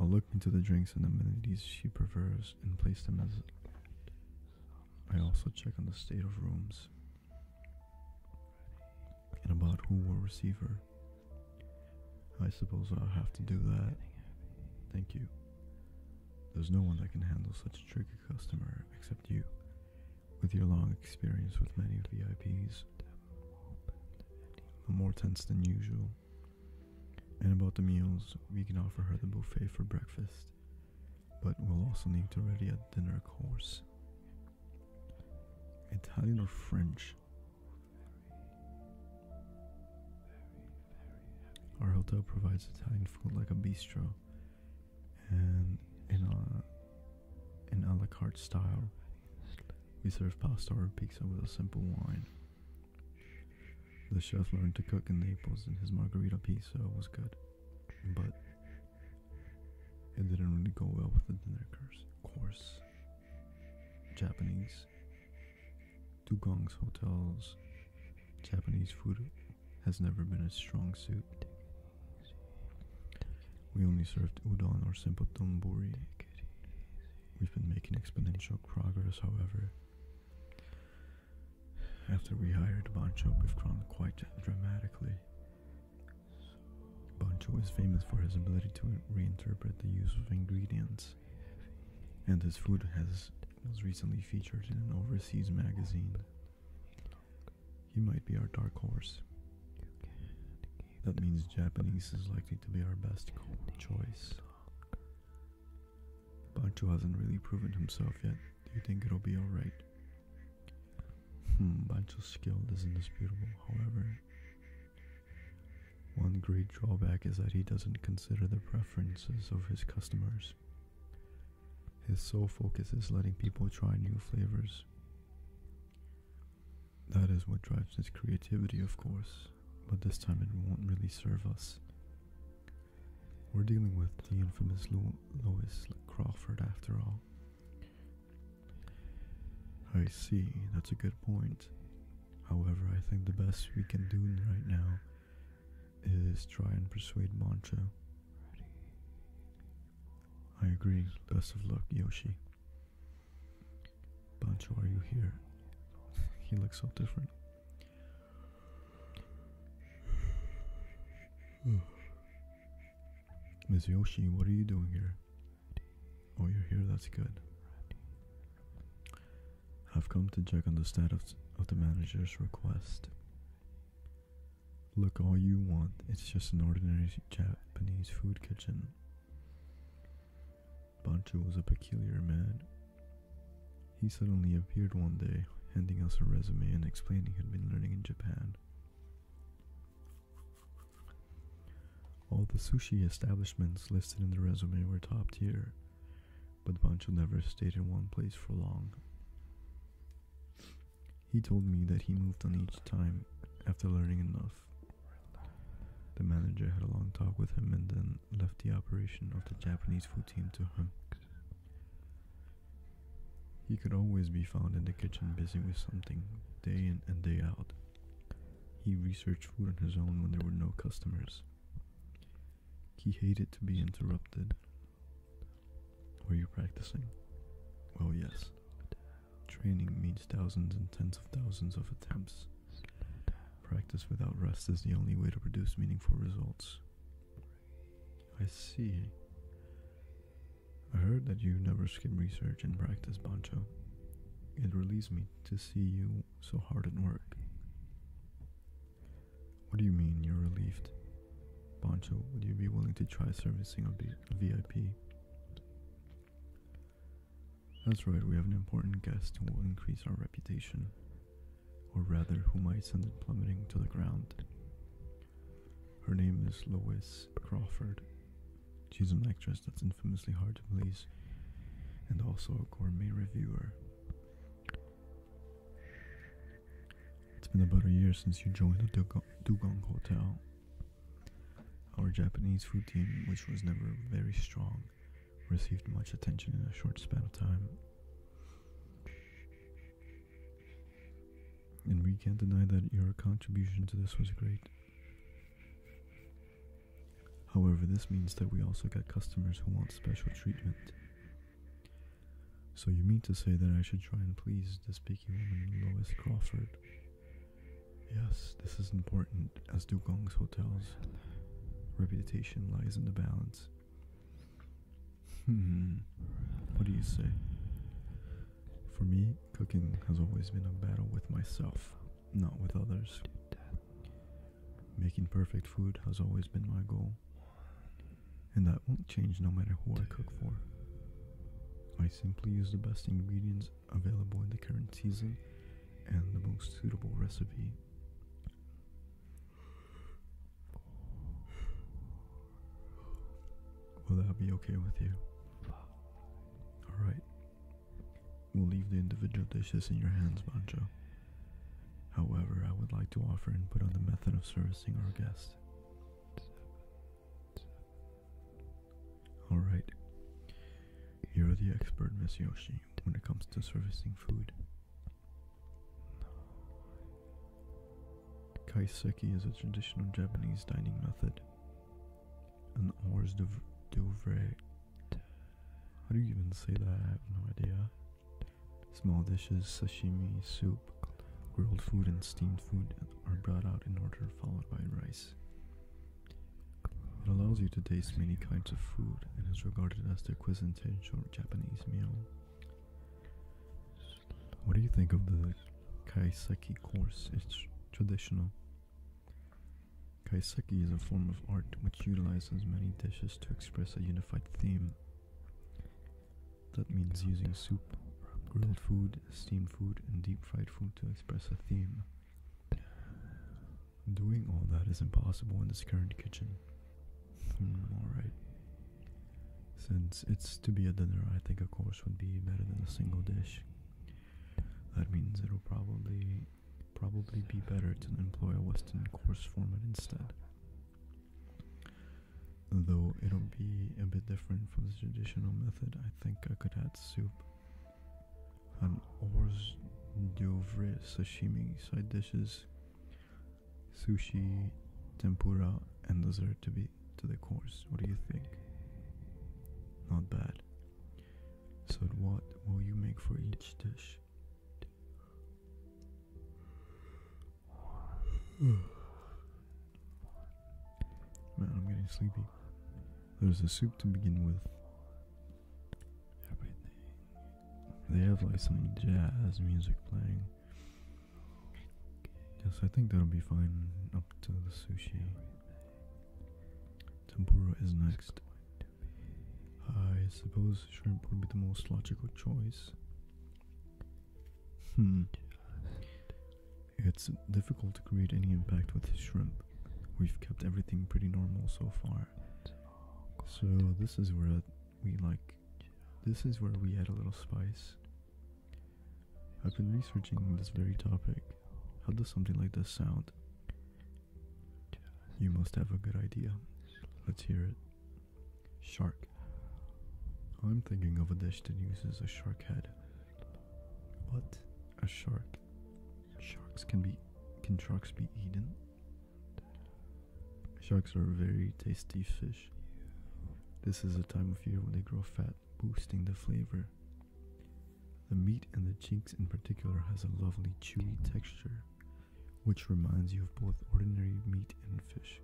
I'll look into the drinks and amenities she prefers and place them as. I also check on the state of rooms and about who will receive her. I suppose I'll have to do that. Thank you. There's no one that can handle such a tricky customer except you, with your long experience with many VIPs. more tense than usual. And about the meals, we can offer her the buffet for breakfast, but we'll also need to ready a dinner course. Italian or French? Our hotel provides Italian food like a bistro and in a, in a la carte style. We serve pasta or pizza with a simple wine. The chef learned to cook in Naples, and his margarita pizza was good, but it didn't really go well with the dinner course. course. Japanese Dugong's Hotel's Japanese food has never been a strong suit. We only served udon or simple donburi We've been making exponential progress, however. After we hired Bancho, we've grown quite dramatically. Bancho is famous for his ability to reinterpret the use of ingredients, and his food has was recently featured in an overseas magazine. He might be our dark horse. That means Japanese is likely to be our best choice. Pancho hasn't really proven himself yet. Do you think it'll be alright? Hmm, skill is indisputable. however. One great drawback is that he doesn't consider the preferences of his customers. His sole focus is letting people try new flavors. That is what drives his creativity, of course but this time it won't really serve us. We're dealing with the infamous Lo Lois Crawford after all. I see, that's a good point. However, I think the best we can do right now is try and persuade Mancho. I agree. Best of luck, Yoshi. Pancho, are you here? He looks so different. Ms. Yoshi, what are you doing here? Oh, you're here, that's good. I've come to check on the status of the manager's request. Look, all you want, it's just an ordinary Japanese food kitchen. Banchu was a peculiar man. He suddenly appeared one day, handing us a resume and explaining he'd been learning in Japan. All the sushi establishments listed in the resume were top tier, but Banchu never stayed in one place for long. He told me that he moved on each time after learning enough. The manager had a long talk with him and then left the operation of the Japanese food team to him. He could always be found in the kitchen busy with something day in and day out. He researched food on his own when there were no customers. He hated to be interrupted. Were you practicing? Well, yes. Training means thousands and tens of thousands of attempts. Practice without rest is the only way to produce meaningful results. I see. I heard that you never skip research and practice, Bancho. It relieves me to see you so hard at work. What do you mean you're relieved? Bancho, would you be willing to try servicing a VIP? That's right, we have an important guest who will increase our reputation. Or rather, who might send it plummeting to the ground. Her name is Lois Crawford. She's an actress that's infamously hard to please, and also a gourmet reviewer. It's been about a year since you joined the Dugong, Dugong Hotel, our Japanese food team, which was never very strong received much attention in a short span of time. And we can't deny that your contribution to this was great. However, this means that we also get customers who want special treatment. So you mean to say that I should try and please the speaking woman, Lois Crawford? Yes, this is important as do Gong's hotels. Reputation lies in the balance. Hmm. what do you say? For me, cooking has always been a battle with myself, not with others. Making perfect food has always been my goal, and that won't change no matter who I cook for. I simply use the best ingredients available in the current season and the most suitable recipe. Will that be okay with you? Alright. We'll leave the individual dishes in your hands, Banjo. However, I would like to offer input on the method of servicing our guests. Alright. You're the expert, Masayoshi, when it comes to servicing food. Kaiseki is a traditional Japanese dining method. An hors d'oeuvre. How do you even say that? I have no idea. Small dishes, sashimi, soup, grilled food, and steamed food are brought out in order, followed by rice. It allows you to taste many kinds of food and is regarded as the quintessential what do you think of the kaiseki course? It's traditional. Kaiseki is a form of art which utilizes many dishes to express a unified theme. That means using soup, grilled food, steamed food, and deep fried food to express a theme. Doing all that is impossible in this current kitchen. Hmm, alright. Since it's to be a dinner, I think a course would be better than a single dish. That means it'll probably probably be better to employ a Western course format instead. Though it'll be a bit different from the traditional method, I think I could add soup. An hors d'oeuvre sashimi side dishes Sushi, tempura, and dessert to be to the course. What do you think? Not bad. So what will you make for each dish? Man, I'm getting sleepy. There's a soup to begin with. They have like some jazz music playing. Yes, I think that'll be fine up to the sushi. Tempura is next. I suppose shrimp would be the most logical choice. Hmm. It's difficult to create any impact with shrimp. We've kept everything pretty normal so far. So this is where we like this is where we add a little spice. I've been researching this very topic. How does something like this sound? You must have a good idea. Let's hear it. Shark. I'm thinking of a dish that uses a shark head. What? A shark? Sharks can be. Can sharks be eaten? Sharks are a very tasty fish. This is a time of year when they grow fat, boosting the flavor. The meat and the cheeks in particular has a lovely chewy texture, which reminds you of both ordinary meat and fish.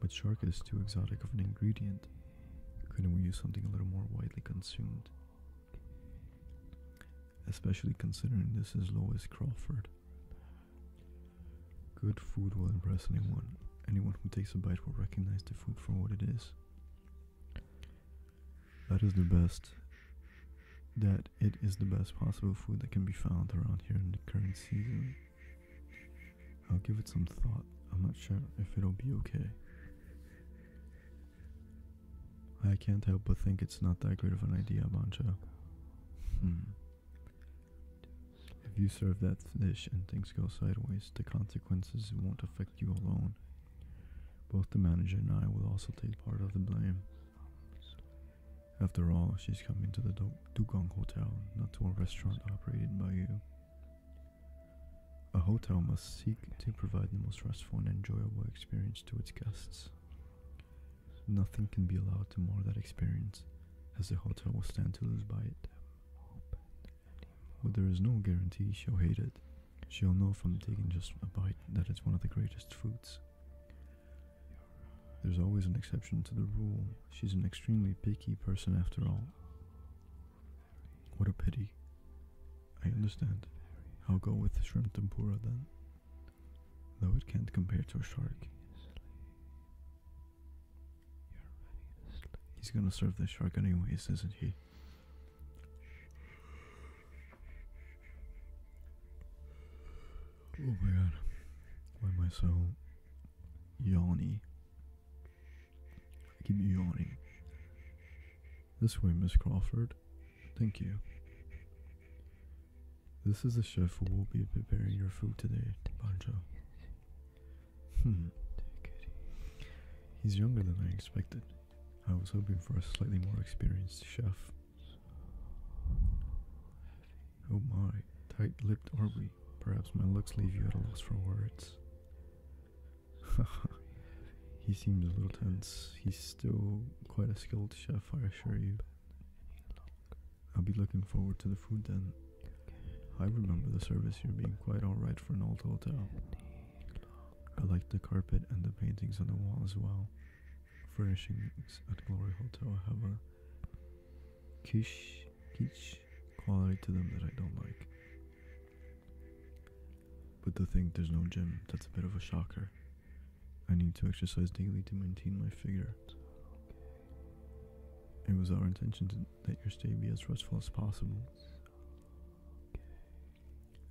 But shark is too exotic of an ingredient. Couldn't we use something a little more widely consumed? especially considering this is Lois Crawford. Good food will impress anyone. Anyone who takes a bite will recognize the food for what it is. That is the best. That it is the best possible food that can be found around here in the current season. I'll give it some thought. I'm not sure if it'll be okay. I can't help but think it's not that great of an idea, Mancha. Hmm. If you serve that dish and things go sideways, the consequences won't affect you alone. Both the manager and I will also take part of the blame. After all, she's coming to the du Dugong Hotel, not to a restaurant operated by you. A hotel must seek to provide the most restful and enjoyable experience to its guests. Nothing can be allowed to mar that experience, as the hotel will stand to lose by it. But there is no guarantee she'll hate it. She'll know from taking just a bite that it's one of the greatest foods. There's always an exception to the rule. She's an extremely picky person after all. What a pity. I understand. I'll go with shrimp tempura then. Though it can't compare to a shark. He's gonna serve the shark anyways, isn't he? Oh my god. Why am I so yawny? I keep yawning. This way, Miss Crawford. Thank you. This is the chef who will be preparing your food today, Pancho. Hmm. He's younger than I expected. I was hoping for a slightly more experienced chef. Oh my, tight lipped are Perhaps my looks leave you at a loss for words. he seems a little tense. He's still quite a skilled chef, I assure you. I'll be looking forward to the food then. I remember the service here being quite alright for an old hotel. I like the carpet and the paintings on the wall as well. Furnishings at Glory Hotel have a kish, kish quality to them that I don't like. But the thing, there's no gym, that's a bit of a shocker. I need to exercise daily to maintain my figure. It was our intention to, that your stay be as restful as possible.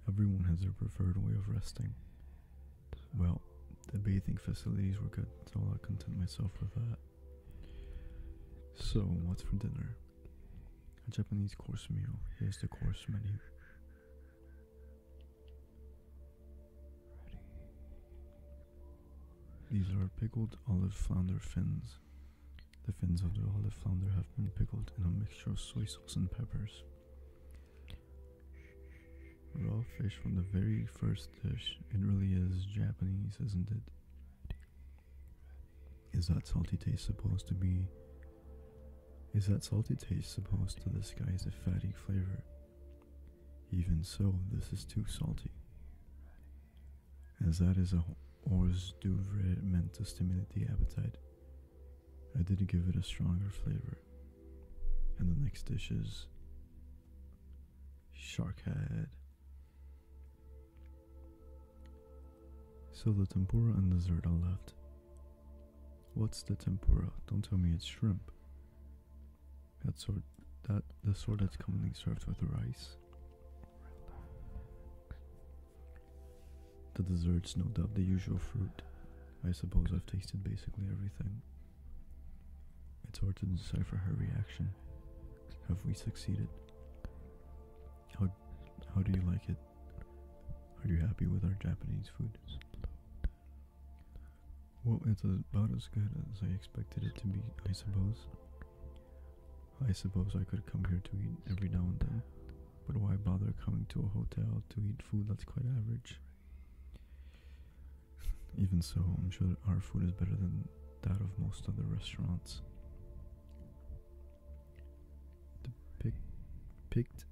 Everyone has their preferred way of resting. Well, the bathing facilities were good, so I'll content myself with that. So, what's for dinner? A Japanese course meal. Here's the course menu. These are pickled olive flounder fins. The fins of the olive flounder have been pickled in a mixture of soy sauce and peppers. Raw fish from the very first dish. It really is Japanese, isn't it? Is that salty taste supposed to be. Is that salty taste supposed to disguise the fatty flavor? Even so, this is too salty, as that is a hors d'oeuvre meant to stimulate the appetite. I did give it a stronger flavor. And the next dish is shark head. So the tempura and dessert are left. What's the tempura? Don't tell me it's shrimp. That sword, that the sort that's commonly served with rice. The desserts, no doubt, the usual fruit. I suppose I've tasted basically everything. It's hard to decipher her reaction. Have we succeeded? How, how do you like it? Are you happy with our Japanese food? Well, it's about as good as I expected it to be, I suppose. I suppose I could come here to eat every now and then, but why bother coming to a hotel to eat food that's quite average? Even so, I'm sure our food is better than that of most other restaurants. Depic picked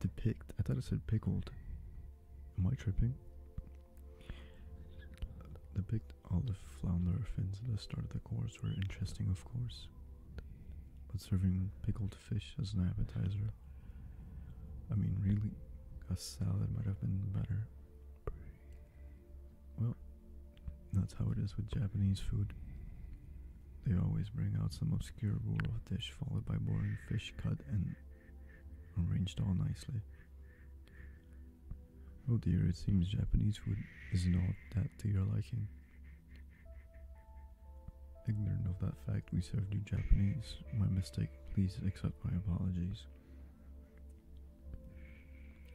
depict I thought I said pickled. Am I tripping? The big olive flounder fins at the start of the course were interesting, of course, but serving pickled fish as an appetizer, I mean, really, a salad might have been better. Well, that's how it is with Japanese food. They always bring out some obscure bowl dish followed by boring fish cut and arranged all nicely. Oh dear, it seems Japanese food is not that to your liking. Ignorant of that fact, we served you Japanese. My mistake, please accept my apologies.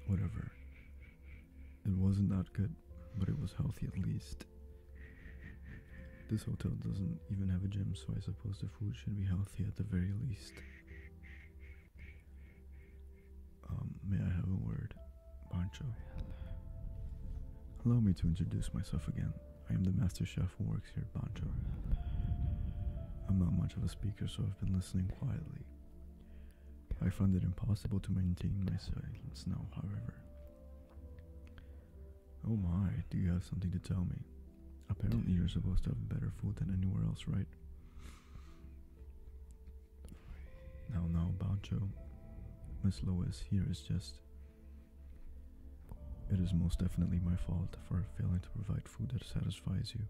Whatever. It wasn't that good, but it was healthy at least. This hotel doesn't even have a gym, so I suppose the food should be healthy at the very least. Um, may I have a word, Pancho? Allow me to introduce myself again. I am the master chef who works here at Pancho. I'm not much of a speaker, so I've been listening quietly. I find it impossible to maintain my silence now, however. Oh my, do you have something to tell me? Apparently, you're supposed to have better food than anywhere else, right? Now, now, not about you. Miss Lewis here is just. It is most definitely my fault for failing to provide food that satisfies you.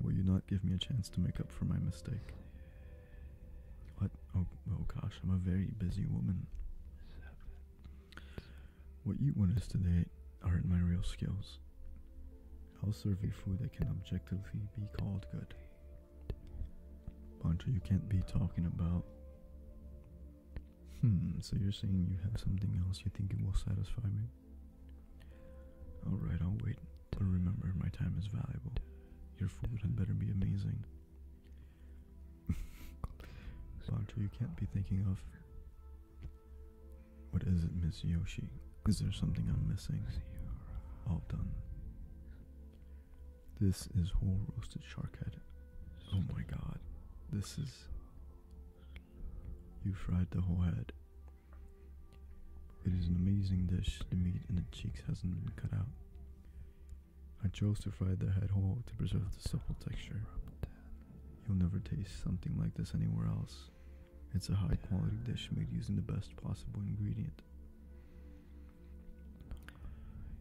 Will you not give me a chance to make up for my mistake? What? Oh, oh gosh, I'm a very busy woman. What you want us to today aren't my real skills. I'll serve you food that can objectively be called good. Pancho, you can't be talking about. Hmm, so you're saying you have something else you think will satisfy me? Alright, I'll wait. But remember, my time is valuable. Your food had better be amazing. Doctor, you can't be thinking of. What is it, Miss Yoshi? Is there something I'm missing? All done. This is whole roasted shark head. Oh my god. This is. You fried the whole head. It is an amazing dish. The meat and the cheeks hasn't been cut out. I chose to fry the head whole to preserve the supple texture. You'll never taste something like this anywhere else. It's a high quality dish made using the best possible ingredient.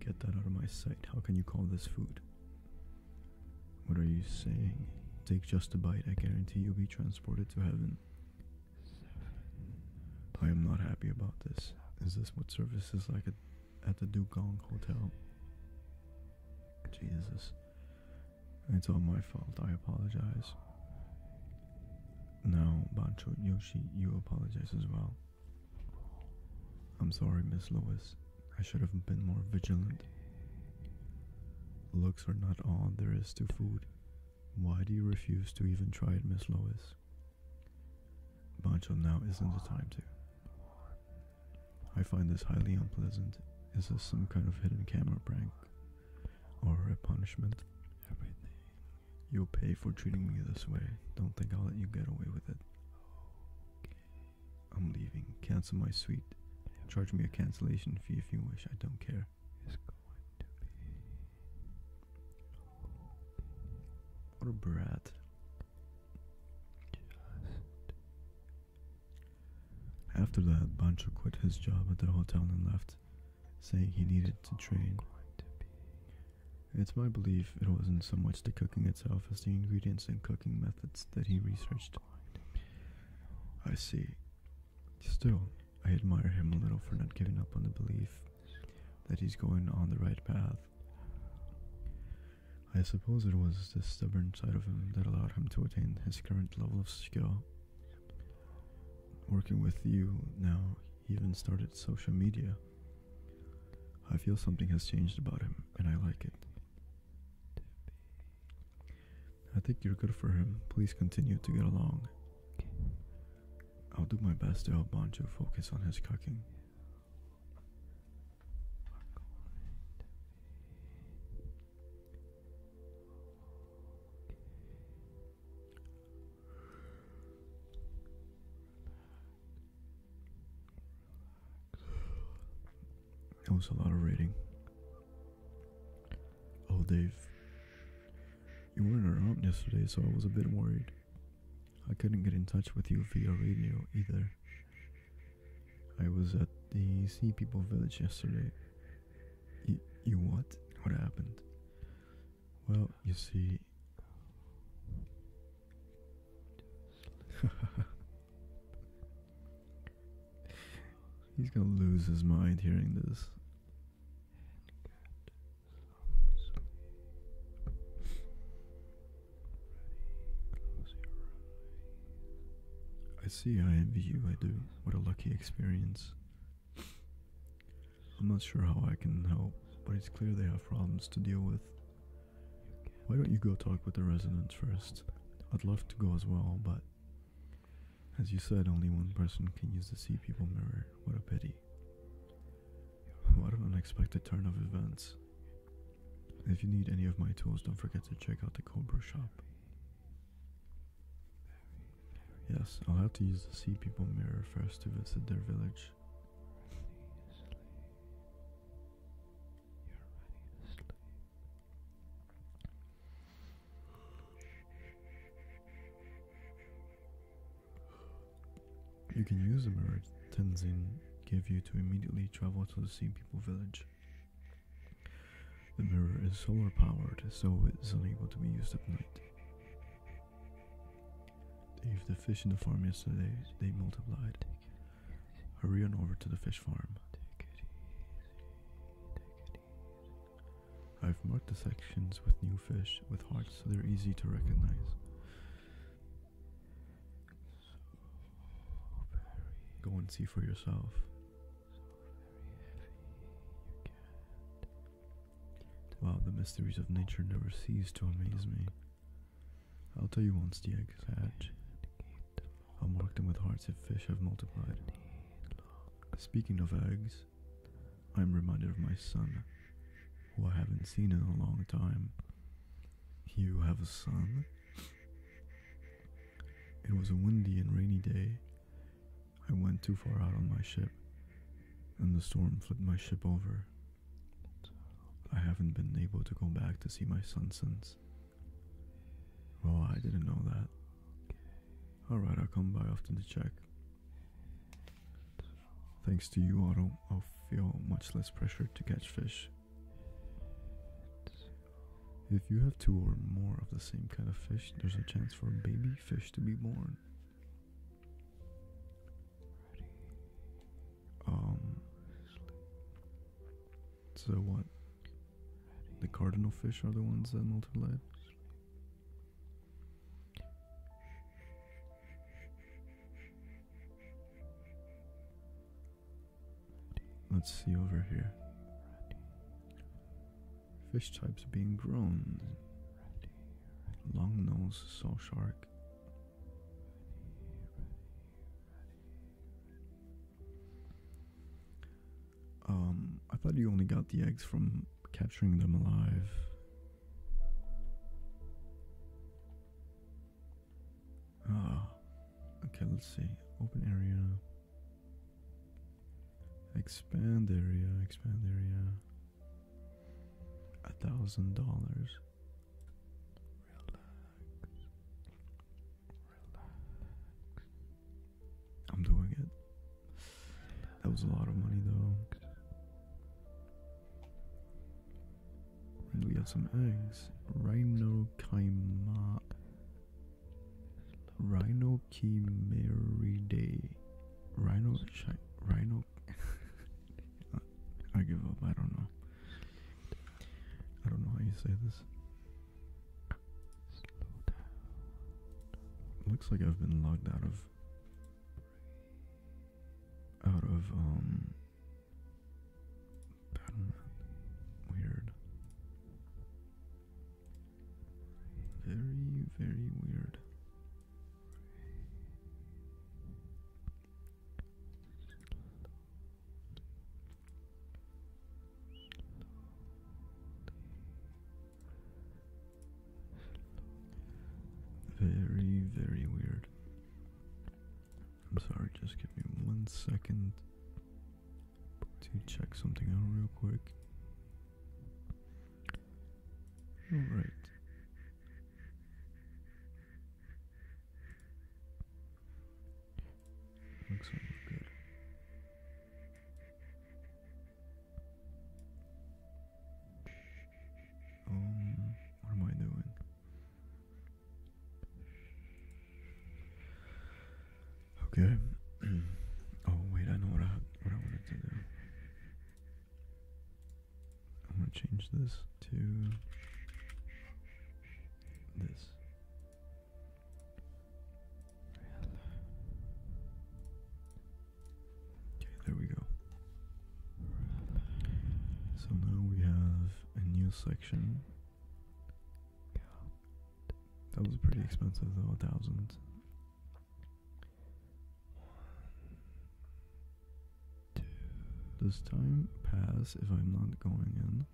Get that out of my sight. How can you call this food? What are you saying? Take just a bite. I guarantee you'll be transported to heaven. I am not happy about this. Is this what services like at, at the Gong Hotel? Jesus. It's all my fault. I apologize. Now, Bancho Yoshi, you apologize as well. I'm sorry, Miss Lewis. I should have been more vigilant. Looks are not all there is to food. Why do you refuse to even try it, Miss Lois? Bancho, now isn't the time to. I find this highly unpleasant. Is this some kind of hidden camera prank? Or a punishment? Everything. You'll pay for treating me this way. Don't think I'll let you get away with it. I'm leaving. Cancel my suite. Charge me a cancellation fee if you wish. I don't care. What a brat. After that, Bancho quit his job at the hotel and left, saying he needed to train. It's my belief it wasn't so much the cooking itself as the ingredients and cooking methods that he researched. I see. Still, I admire him a little for not giving up on the belief that he's going on the right path. I suppose it was the stubborn side of him that allowed him to attain his current level of skill. Working with you now, he even started social media. I feel something has changed about him, and I like it. I think you're good for him. Please continue to get along. I'll do my best to help Banjo focus on his cooking. It was a lot of rating. Oh, Dave. You weren't around yesterday, so I was a bit worried. I couldn't get in touch with you via radio either. I was at the Sea People Village yesterday. you what? What happened? Well, you see. He's gonna lose his mind hearing this. I see, I envy you, I do. What a lucky experience. I'm not sure how I can help, but it's clear they have problems to deal with. Why don't you go talk with the residents first? I'd love to go as well, but as you said, only one person can use the sea people mirror. What a pity. What an unexpected turn of events. If you need any of my tools, don't forget to check out the Cobra shop. Yes, I'll have to use the Sea People mirror first to visit their village. You can use the mirror Tenzin gave you to immediately travel to the Sea People village. The mirror is solar powered, so it is unable to be used at night. If the fish in the farm yesterday, they multiplied. Hurry on over to the fish farm. I've marked the sections with new fish with hearts so they're easy to recognize. Go and see for yourself. So wow, the mysteries of nature never cease to amaze me. I'll tell you once the eggs hatch. I'll mark them with hearts if fish have multiplied. Speaking of eggs, I'm reminded of my son, who I haven't seen in a long time. You have a son? It was a windy and rainy day. I went too far out on my ship, and the storm flipped my ship over. I haven't been able to go back to see my son since. Well, I didn't know that. Alright, I'll come by after the check. Thanks to you, Otto, I'll feel much less pressure to catch fish. If you have two or more of the same kind of fish, there's a chance for a baby fish to be born. Um. So what? The cardinal fish are the ones that multiply. Let's see over here. Fish types being grown. Long nose saw shark. Um, I thought you only got the eggs from capturing them alive. Ah, okay, let's see. Open area. Expand area, expand area. A thousand dollars. Relax. Relax. I'm doing it. That was a lot of money though. we have some eggs. Rhino Kaima Rhinochimeridae. Rhino. Rhino. I give up. I don't know. I don't know how you say this. Looks like I've been logged out of. Out of um. Weird. Very, very weird. Very, very weird. I'm sorry, just give me one second to check something out real quick. Alright. Looks good. Um, what am I doing? Okay. oh wait, I know what I what I wanted to do. I want to change this to this. Okay, there we go. So now we have a new section that was pretty expensive though, a thousand. Does time pass if I'm not going in?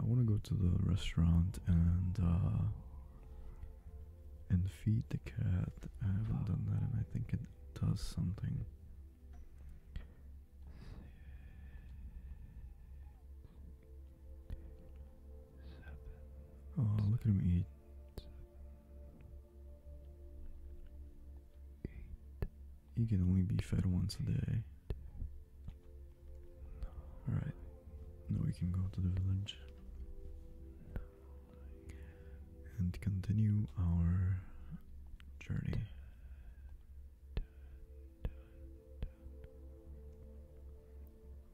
I want to go to the restaurant and uh, and feed the cat. I haven't done that, and I think it does something. Oh, look at him eat. You can only be fed once a day. Alright, now we can go to the village and continue our journey.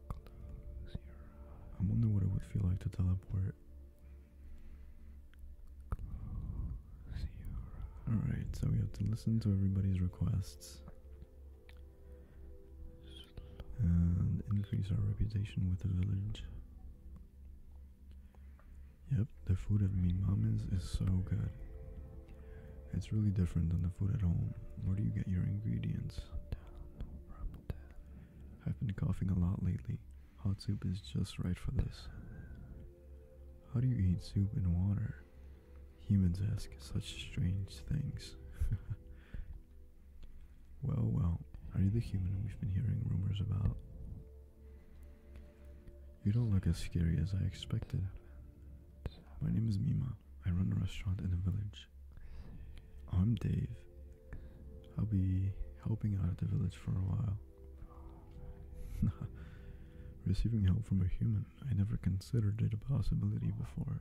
Close your eyes. I wonder what it would feel like to teleport. Alright, so we have to listen to everybody's requests. And increase our reputation with the village. Yep, the food at Mi Mama's is so good. It's really different than the food at home. Where do you get your ingredients? I've been coughing a lot lately. Hot soup is just right for this. How do you eat soup and water? Humans ask such strange things. well, well, are you the human we've been hearing rumors about? You don't look as scary as I expected. My name is Mima. I run a restaurant in the village. I'm Dave. I'll be helping out at the village for a while. Receiving help from a human, I never considered it a possibility before.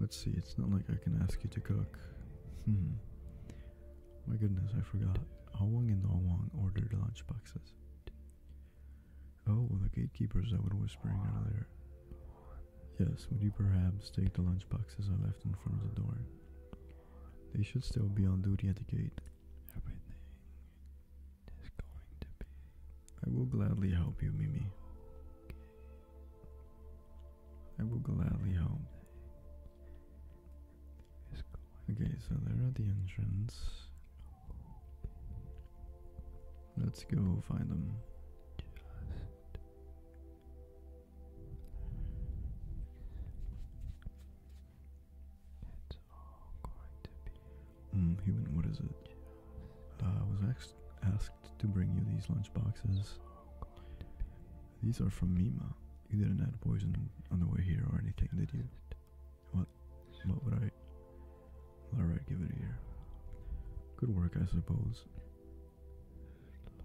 Let's see, it's not like I can ask you to cook. Hmm. My goodness, I forgot. Awang and Awang ordered lunch boxes. Oh, the gatekeepers I was whispering earlier. Yes, would you perhaps take the lunch boxes I left in front of the door? They should still be on duty at the gate. Everything is going to be. I will gladly help you, Mimi. I will gladly help. Okay, so there are the entrance. Let's go find them. Hmm, human, what is it? Uh, I was asked asked to bring you these lunch boxes. These are from Mima. You didn't add poison on the way here or anything, did you? What? What would I? Alright, give it here. Good work, I suppose.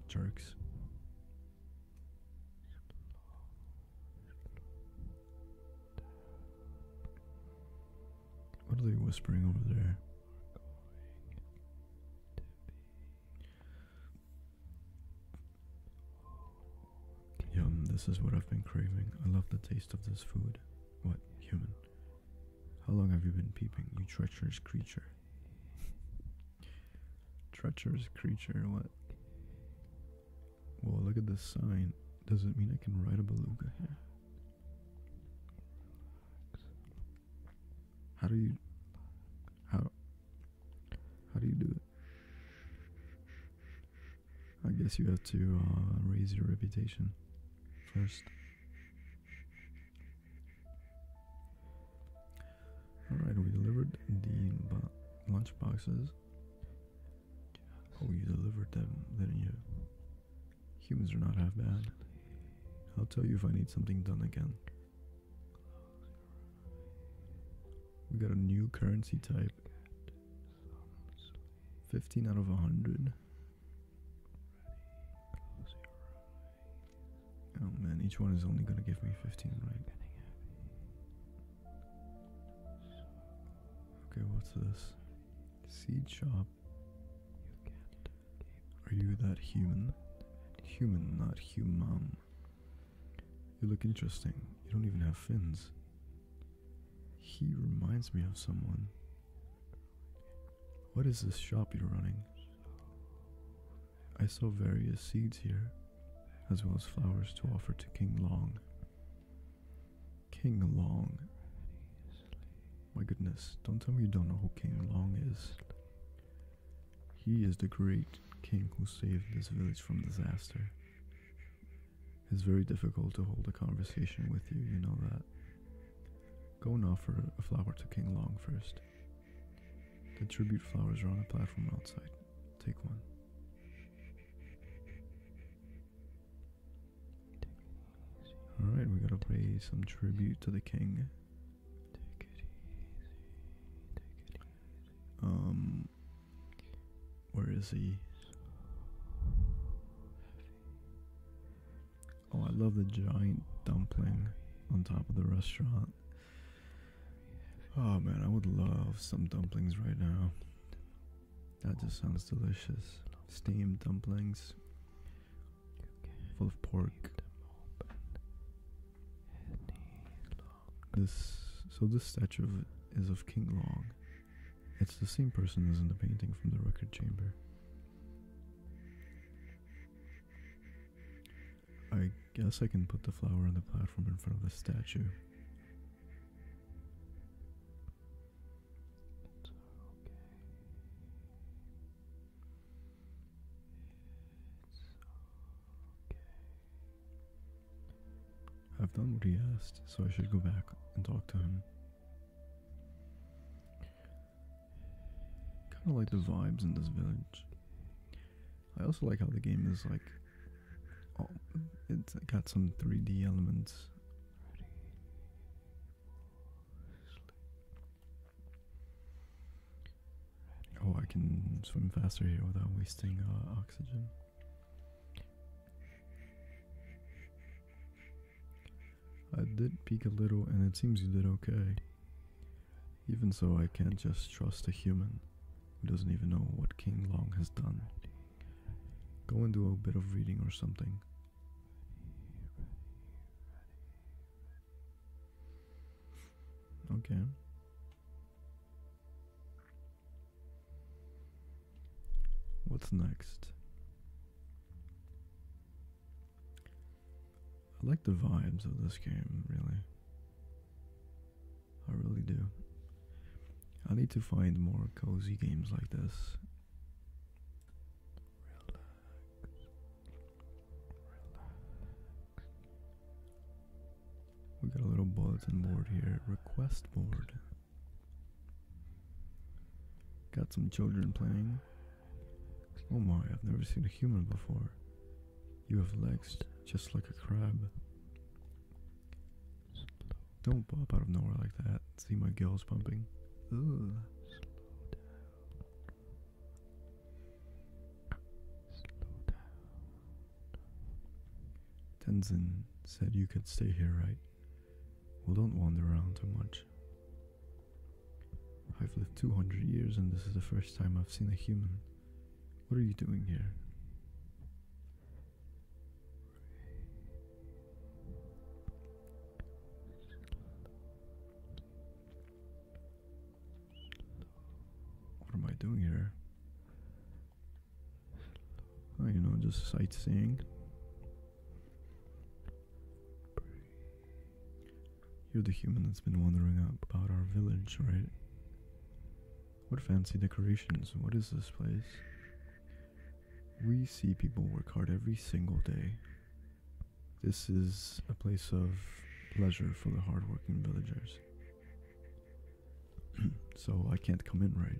Jerks. What are they whispering over there? Yum, this is what I've been craving. I love the taste of this food. What, human? How long have you been peeping, you treacherous creature? treacherous creature, what? Well, look at this sign. Does it mean I can ride a beluga here? How do you. How. How do you do it? I guess you have to uh, raise your reputation first. Alright, we delivered the bo lunch boxes. Oh, you delivered them, Then you? Humans are not half bad. I'll tell you if I need something done again. We got a new currency type fifteen out of a hundred. Oh man, each one is only gonna give me fifteen, right? Okay, what's this? Seed shop. Are you that human? Human, not human. You look interesting. You don't even have fins. He reminds me of someone. What is this shop you're running? I saw various seeds here, as well as flowers to offer to King Long. King Long. My goodness, don't tell me you don't know who King Long is. He is the great king who saved this village from disaster. It's very difficult to hold a conversation with you, you know that. Go and offer a flower to King Long first. The tribute flowers are on a platform outside. Take one. Alright, we gotta pay some tribute to the king. Um, where is he? Oh, I love the giant dumpling on top of the restaurant. Oh man, I would love some dumplings right now. That just sounds delicious. Steamed dumplings, full of pork. This so this statue is of King Long. It's the same person as in the painting from the record chamber. I guess I can put the flower on the platform in front of the statue. I've done what he asked, so I should go back and talk to him. Kind of like the vibes in this village. I also like how the game is like. it's got some 3D elements. Oh, I can swim faster here without wasting uh, oxygen. I did peek a little, and it seems you did okay. Even so, I can't just trust a human who doesn't even know what King Long has done. Go and do a bit of reading or something. Okay. What's next? I like the vibes of this game, really. I really do. I need to find more cozy games like this. We got a little bulletin board here, request board. Got some children playing. Oh my, I've never seen a human before. You have legs just like a crab. Don't pop out of nowhere like that. See my gills pumping. Tenzin said you could stay here, right? Well, don't wander around too much. I've lived 200 years and this is the first time I've seen a human. What are you doing here? What am I doing here? Oh, you know, just sightseeing. You're the human that's been wandering about our village, right? What fancy decorations? What is this place? We see people work hard every single day. This is a place of pleasure for the hardworking villagers. so I can't come in, right?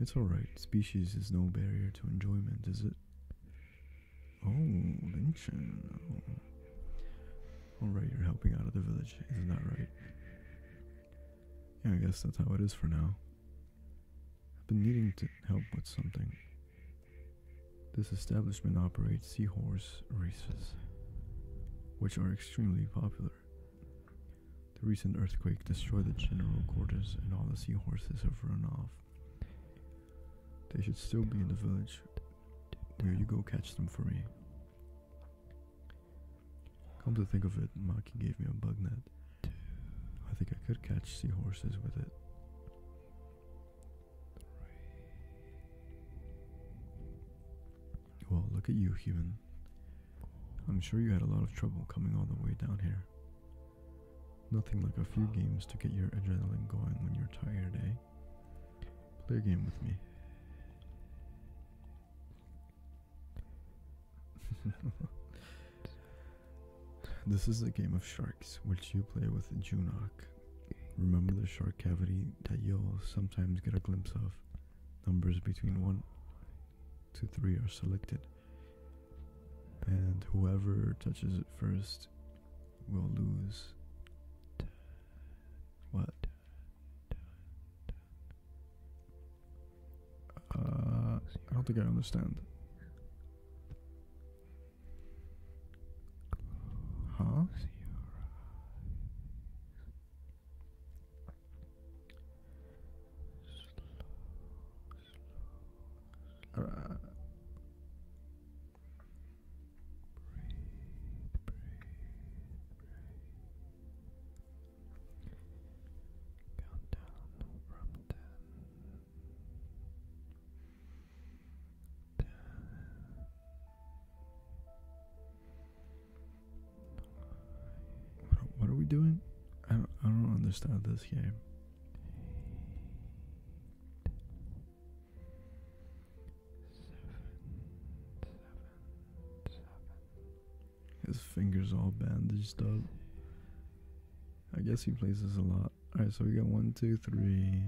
It's alright, species is no barrier to enjoyment, is it? Oh, Lynchen. Oh. Alright, you're helping out of the village, isn't that right? Yeah, I guess that's how it is for now. I've been needing to help with something. This establishment operates seahorse races, which are extremely popular. The recent earthquake destroyed the general quarters and all the seahorses have run off. They should still be in the village. Will you go catch them for me? Come to think of it, Maki gave me a bug net. I think I could catch seahorses with it. Well, look at you, human. I'm sure you had a lot of trouble coming all the way down here. Nothing like a few games to get your adrenaline going when you're tired, eh? Play a game with me. this is a game of sharks, which you play with Junok. Remember the shark cavity that you'll sometimes get a glimpse of? Numbers between 1 two, three are selected, and whoever touches it first will lose. What? Uh, I don't think I understand slow, Breathe, breathe, breathe. Count down from ten. Ten. What are, we doing? I don't, I don't understand this game. His fingers all bandaged up. I guess he plays this a lot. Alright, so we got one, two, three.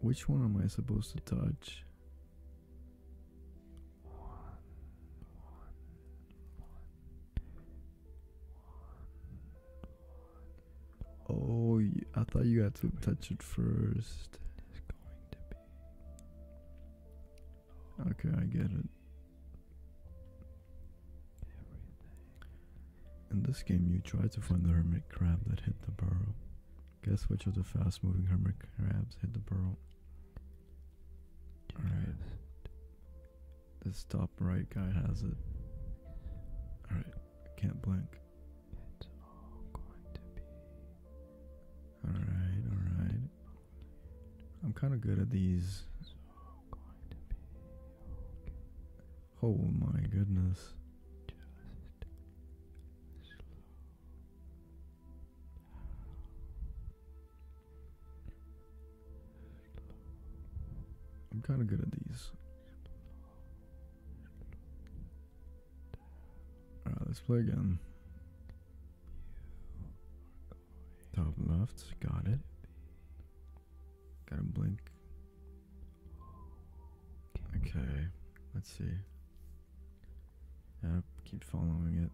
Which one am I supposed to touch? One, one, one, one, one. Oh, I thought you had to touch it first. Okay, I get it. In this game, you try to find the hermit crab that hid the burrow. Guess which of the fast moving hermit crabs hid the burrow? Alright. This top right guy has it. Alright, can't blink. Alright, alright. I'm kind of good at these. Oh my goodness. I'm kind of good at these. let's play again. Top left, got it. got a blink. Okay, let's see. Yep, keep following it.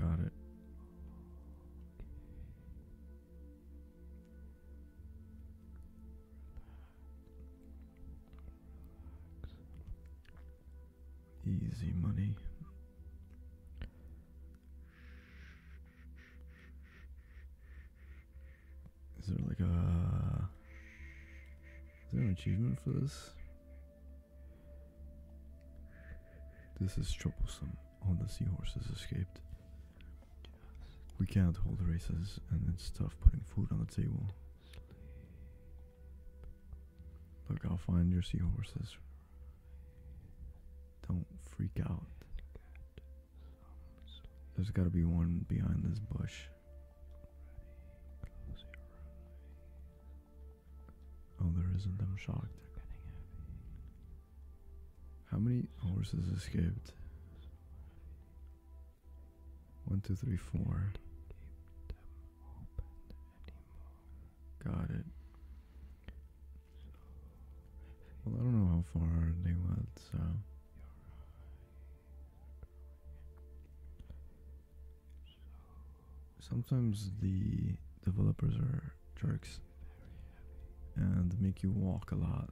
Got it. Easy money. Is there like a. Is there an achievement for this? This is troublesome. All oh, the seahorses escaped. We can't hold races, and it's tough putting food on the table. Look, I'll find your seahorses. Don't freak out. There's gotta be one behind this bush. Oh, there isn't. I'm shocked. How many horses escaped? One, two, three, four. Got it. Well, I don't know how far they went, so. Sometimes the developers are jerks and make you walk a lot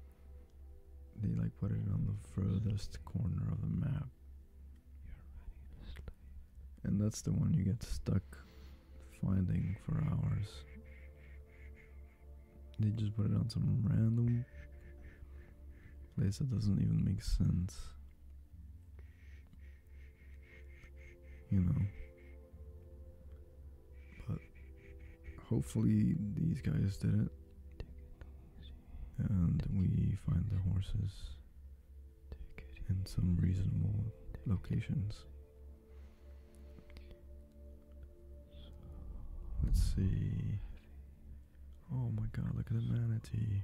they like put it on the furthest corner of the map. And that's the one you get stuck finding for hours. They just put it on some random place that doesn't even make sense. You know. But hopefully these guys did it and we find the horses in some reasonable locations. Let's see. Oh my god, look at the manatee.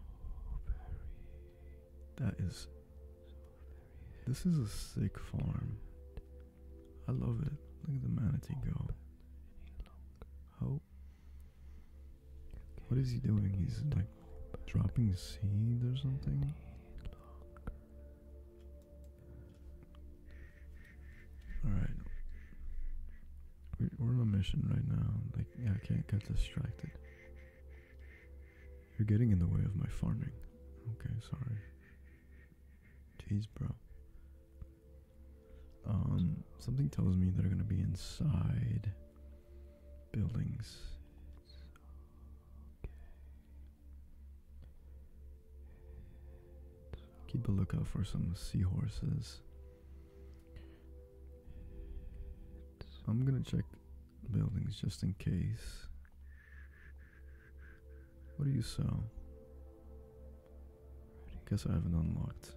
That is. This is a sick farm. I love it. Look at the manatee go. What is he doing? He's like dropping seeds or something? Alright. We're on a mission right now. Like, I can't get distracted. You're getting in the way of my farming. Okay, sorry. Jeez, bro. Um, something tells me they're gonna be inside buildings. Keep a lookout for some seahorses. I'm gonna check buildings just in case. What do you sell? Guess I haven't unlocked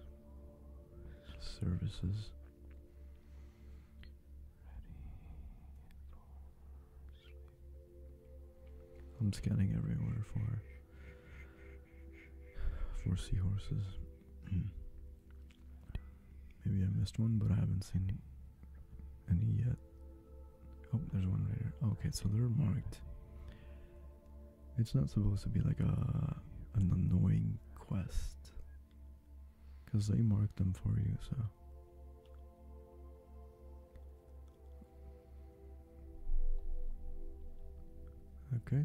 services. I'm scanning everywhere for for seahorses. Maybe I missed one, but I haven't seen any yet. Oh, there's one right here. Okay, so they're marked it's not supposed to be like a an annoying quest. Cause they mark them for you, so Okay.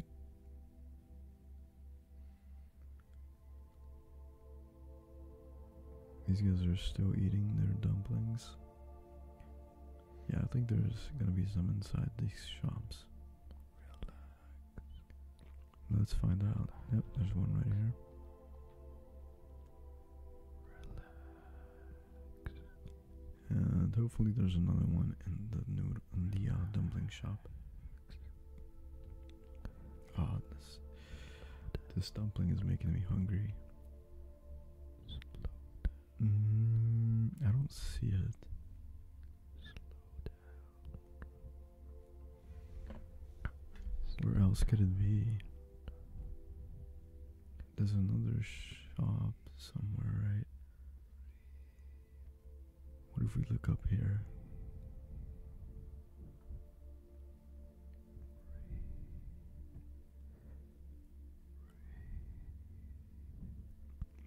These guys are still eating their dumplings. Yeah, I think there's gonna be some inside these shops. Let's find out. Yep, there's one right here. And hopefully there's another one in the new in uh, dumpling shop. Ah, this this dumpling is making me hungry. Mm, I don't see it. Where else could it be? There's another shop somewhere, right? What if we look up here?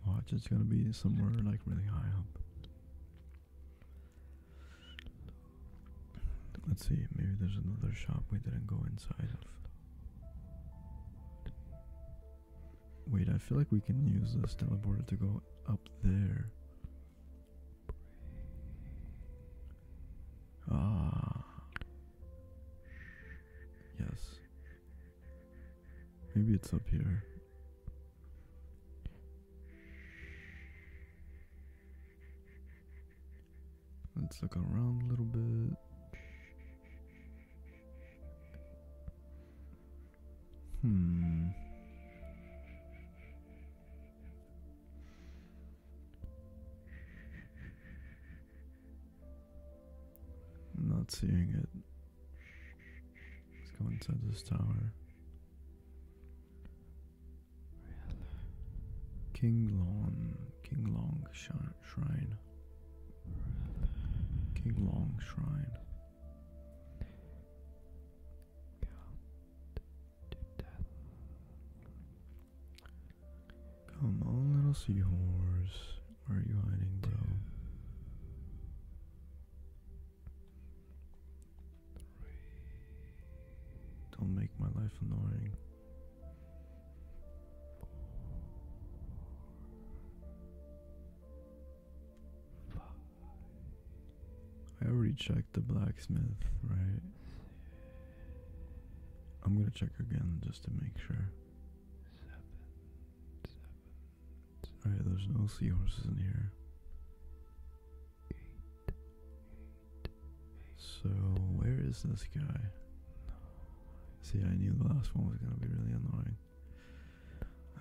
Watch it's gonna be somewhere like really high up. Let's see, maybe there's another shop we didn't go inside of. Wait, I feel like we can use this teleporter to go up there. Ah. Yes. Maybe it's up here. Let's look around a little bit. Hmm. not seeing it. Let's go inside this tower. King Long, King Long Shrine. King Long Shrine. Come on, little seahorse. Where are you hiding, bro? do Don't make my life annoying. I already checked the blacksmith, right? I'm gonna check again just to make sure there's no seahorses in here. So, where is this guy? See, I knew the last one was gonna be really annoying.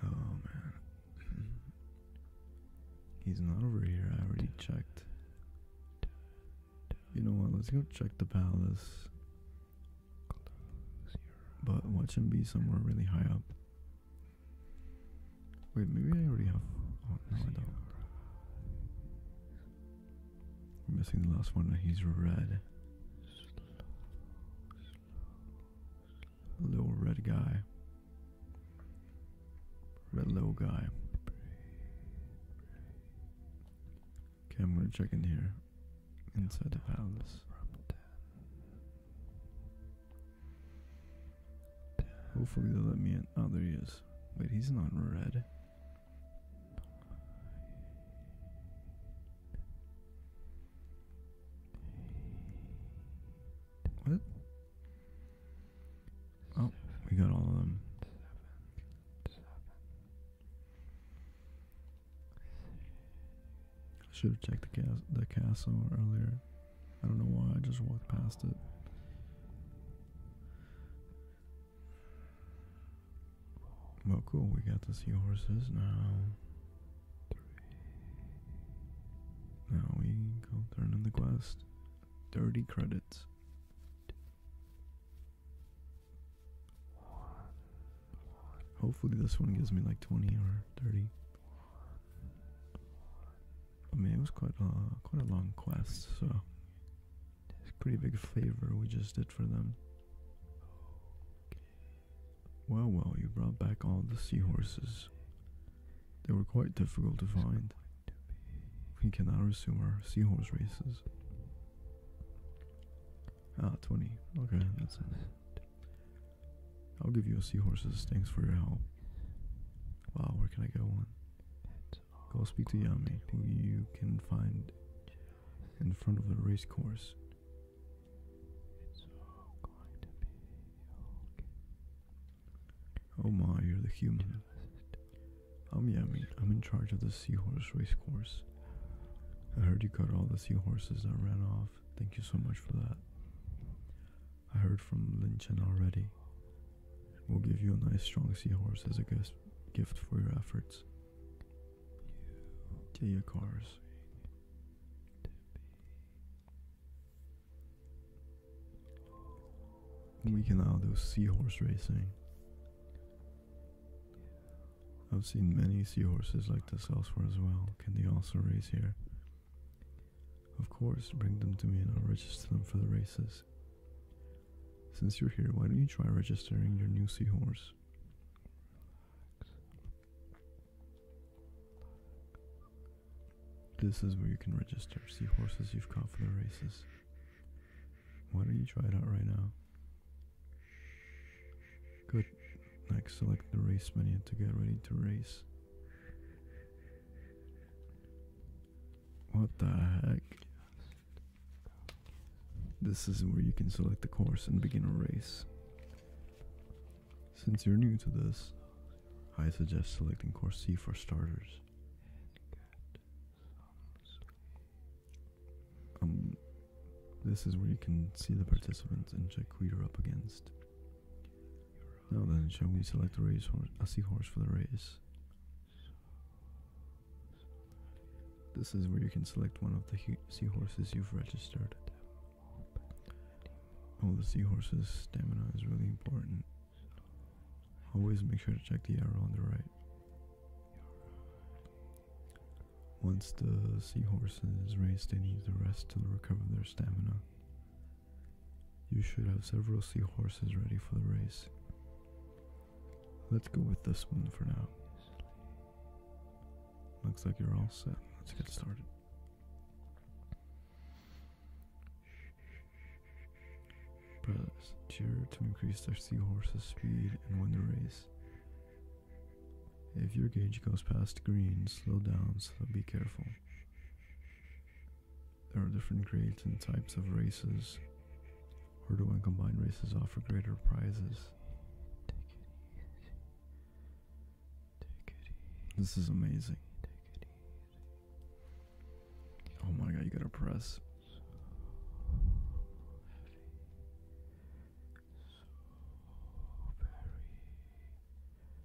Oh man. He's not over here, I already checked. You know what, let's go check the palace. But watch him be somewhere really high up. Wait, maybe I already have. Oh, no, I don't. am missing the last one. He's red. Little red guy. Red little guy. Okay, I'm gonna check in here. Inside the palace. Hopefully they'll let me in. Oh, there he is. Wait, he's not red. What? Oh, we got all of them. I should have checked the, castle earlier. I don't know why I just walked past it. Well, cool. We got the seahorses now. Now we go turn in the quest. Thirty credits. Hopefully, this one gives me like twenty or thirty. I mean, it was quite a uh, quite a long quest, so it's a pretty big favor we just did for them. Well, well, you brought back all the seahorses. They were quite difficult to find. We cannot resume our seahorse races. Ah, 20. Okay, that's it. I'll give you a seahorses. Thanks for your help. Wow, where can I get one? Go speak to Yami, who you can find in front of the racecourse. Oh my, you're the human. I'm Yami. I'm in charge of the seahorse Racecourse. I heard you cut all the seahorses that ran off. Thank you so much for that. I heard from Linchen already. We'll give you a nice strong seahorse as a gift for your efforts. To your cars. We can now do seahorse racing. I've seen many seahorses like this elsewhere as well. Can they also race here? Of course, bring them to me and I'll register them for the races. Since you're here, why don't you try registering your new seahorse? This is where you can register seahorses you've caught for the races. Why don't you try it out right now? Good like select the race menu to get ready to race. What the heck? This is where you can select the course and begin a race. Since you're new to this, I suggest selecting course C for starters. Um, this is where you can see the participants and check who you're up against. Now then, shall we select a horse? a seahorse for the race? This is where you can select one of the seahorses you've registered. All oh, the seahorse's stamina is really important. Always make sure to check the arrow on the right. Once the seahorses race, they need to rest to recover their stamina. You should have several seahorses ready for the race. Let's go with this one for now. Looks like you're all set. Let's get started. Press cheer to increase their seahorse's speed and win the race. If your gauge goes past green, slow down, so be careful. There are different grades and types of races. do and combined races offer greater prizes. This is amazing. Oh my god, you gotta press.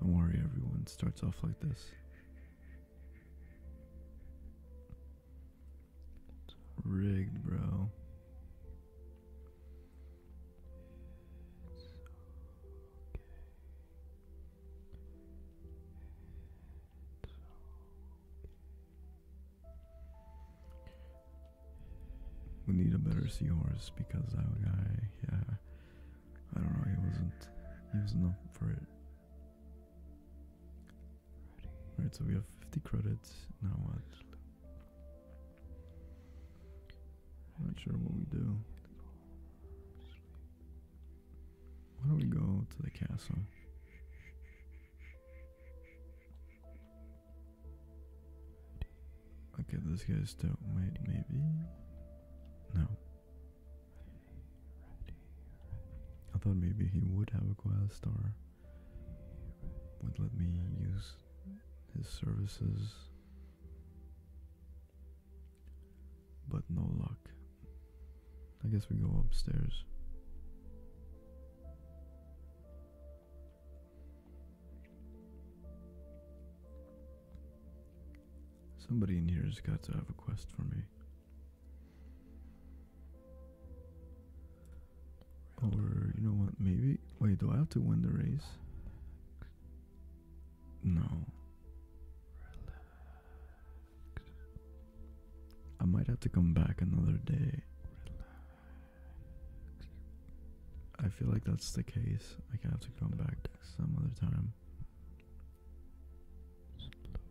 Don't worry, everyone starts off like this. It's rigged, bro. We need a better seahorse because that guy, yeah, I don't know, he wasn't he wasn't for it. Alright, so we have 50 credits. Now what? Not sure what we do. Why do we go to the castle? Okay, this guy's still wait, maybe. No. I thought maybe he would have a quest or would let me use his services. But no luck. I guess we go upstairs. Somebody in here has got to have a quest for me. Or, you know what, maybe. Wait, do I have to win the race? No. I might have to come back another day. I feel like that's the case. I have to come back some other time. Slow down.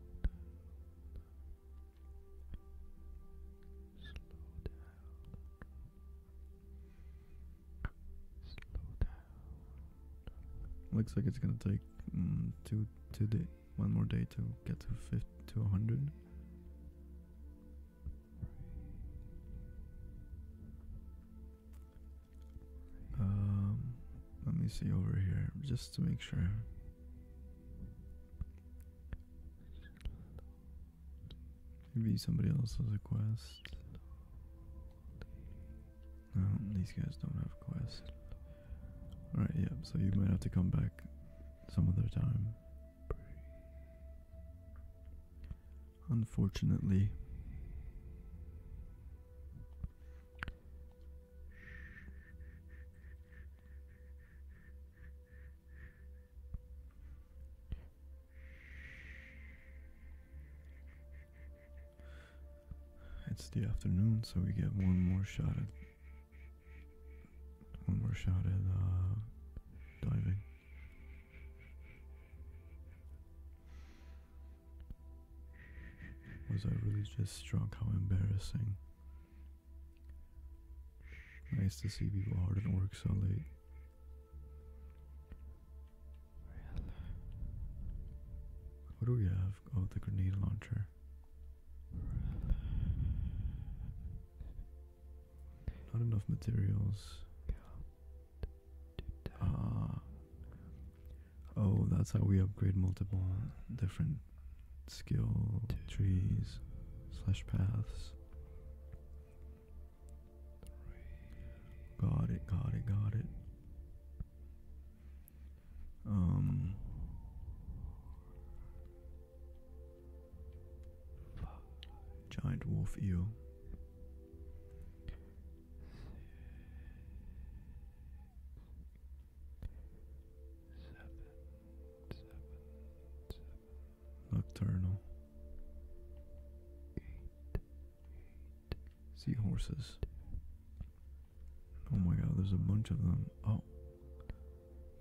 Slow down. Slow down. Looks like it's gonna take mm, two, two day, one more day to get to fifty to hundred. Um, let me see over here just to make sure. Maybe somebody else has a quest. No, these guys don't have a quest. Alright, Yep. so you might have to come back some other time. Unfortunately. It's the afternoon, so we get one more shot at one more shot at uh, diving. Was I really just struck? How embarrassing. Nice to see people hard at work so late. What do we have? Oh, the grenade launcher. Not enough materials. Uh, oh, that's how we upgrade multiple different skill trees slash paths. Got it, got it, got it. Um. Giant wolf eel. Nocturnal. Seahorses. Oh my god, there's a bunch of them. Oh.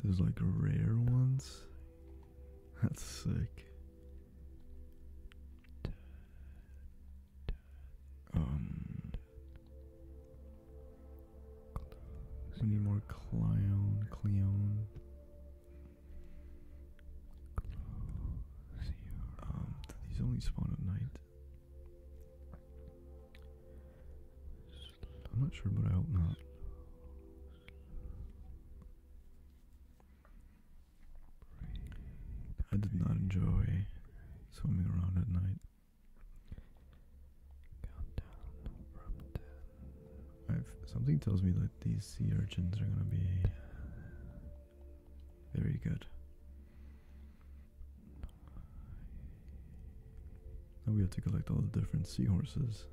There's like rare ones. That's sick. Um, more Cleon, Cleon. Um, only spawn at night. I'm not sure, but I hope not. I did not enjoy swimming around at night. something tells me that these sea urchins are gonna be very good. Now we have to collect all the different seahorses.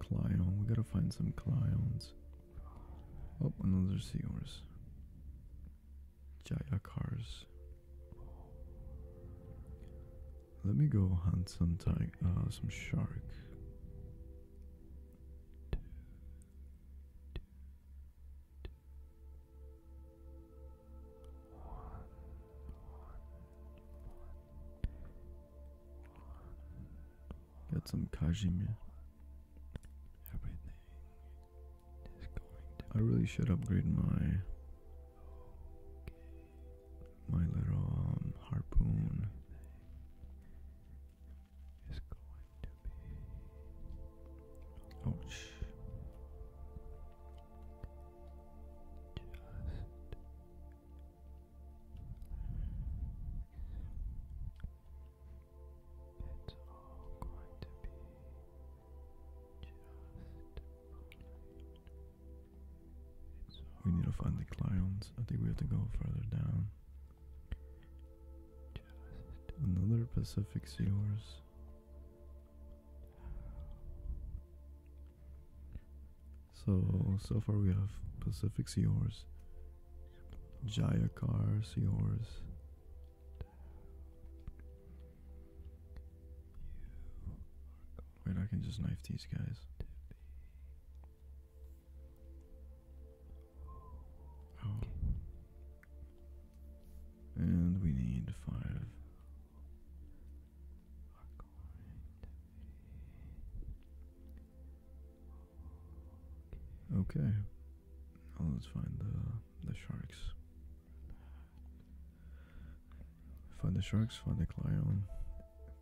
Clown, we gotta find some clowns. Oh, and those are seahorse. Jaya cars. Let me go hunt some tiger, uh, some shark. Got some Kajimir. Everything is going I really should upgrade my my little um, harpoon ouch oh, we need to find the clowns. I think we have to go further down. Just another Pacific Seahorse. So, so far we have Pacific Jaya cars, Seahorse. Wait, I can just knife these guys. Oh. And we need five. Okay. let's find the the sharks. Find the sharks, find the Cleon.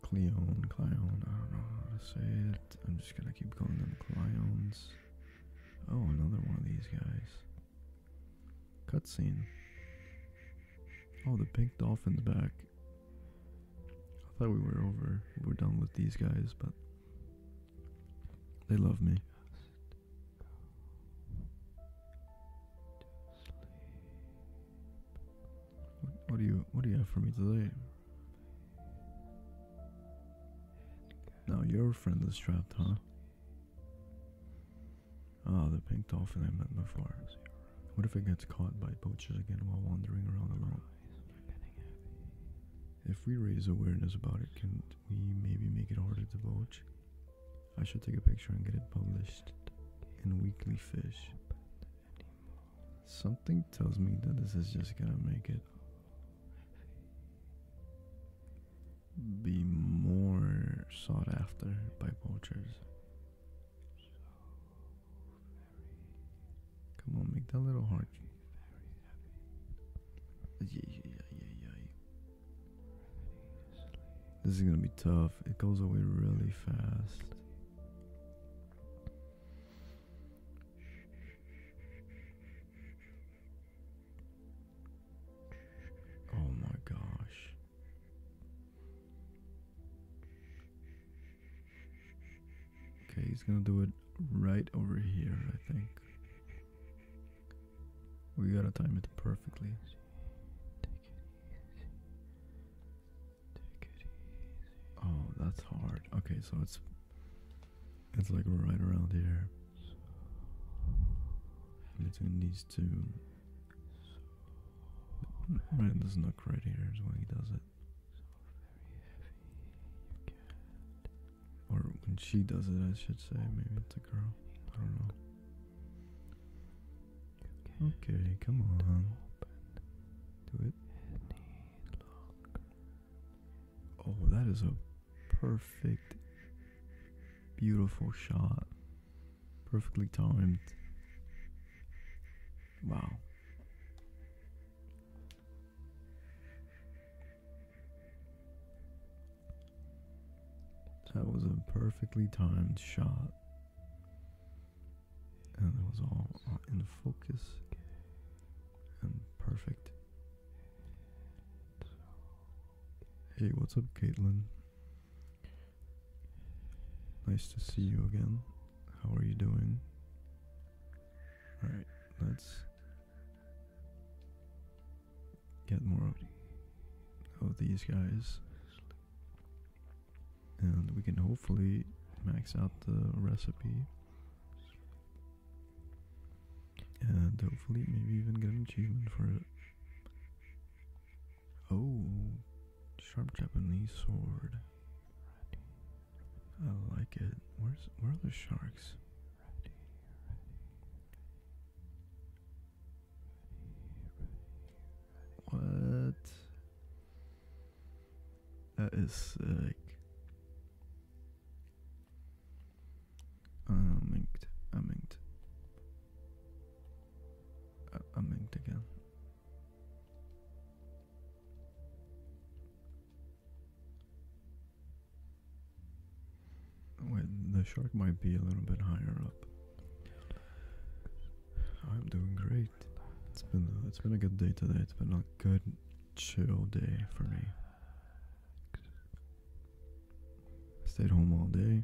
Cleon, Cleon, I don't know how to say it. I'm just gonna keep calling them Cleons. Oh, another one of these guys. Cutscene. Oh, the pink dolphin's back. I thought we were over. We are done with these guys, but they love me. What, do you What do you have for me today? Now your friend is trapped, huh? Ah, the pink dolphin I met before. What if it gets caught by poachers again while wandering around alone? If we raise awareness about it, can we maybe make it harder to poach? I should take a picture and get it published in Weekly Fish. Something tells me that this is just gonna make it be more sought after by poachers. Come on, make that little heart. Yeah, yeah, yeah, yeah, yeah. This is gonna be tough. It goes away really fast. Oh my gosh. Okay, he's gonna do it right over here, I think. We gotta time it perfectly. Oh, that's hard. Okay, so it's it's like right around here. Between these two. Right in this nook right here is when he does it. Or when she does it, I should say. Maybe it's a girl. I don't know. Okay, come on. Do it. Oh, that is a perfect, beautiful shot, perfectly timed. Wow. That was a perfectly timed shot. And it was all in focus and perfect. Hey, what's up, Caitlin? Nice to see you again. How are you doing? Alright, let's get more of these guys. And we can hopefully max out the recipe and hopefully maybe even get an achievement for it. Oh, sharp Japanese sword. I like it. Where's where are the sharks? What? That is sick. I'm inked. I'm inked. I'm inked again. Wait, the shark might be a little bit higher up. I'm doing great. It's been it's been a good day today. It's been a good chill day for me. Stayed home all day.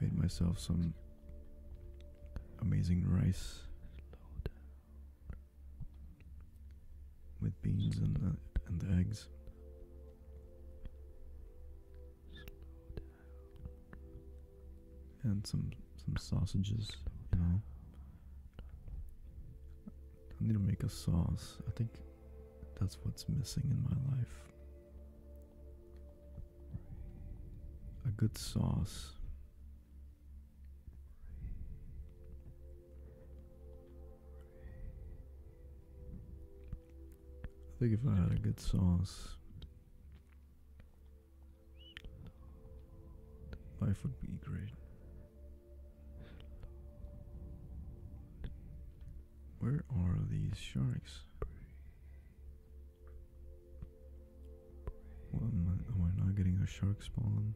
Made myself some amazing rice with beans and and eggs. And some some sausages, I need to make a sauce. I think that's what's missing in my life. A good sauce. I think if I had a good sauce, life would be great. Where are these sharks? Well, am, I, not getting a shark spawn?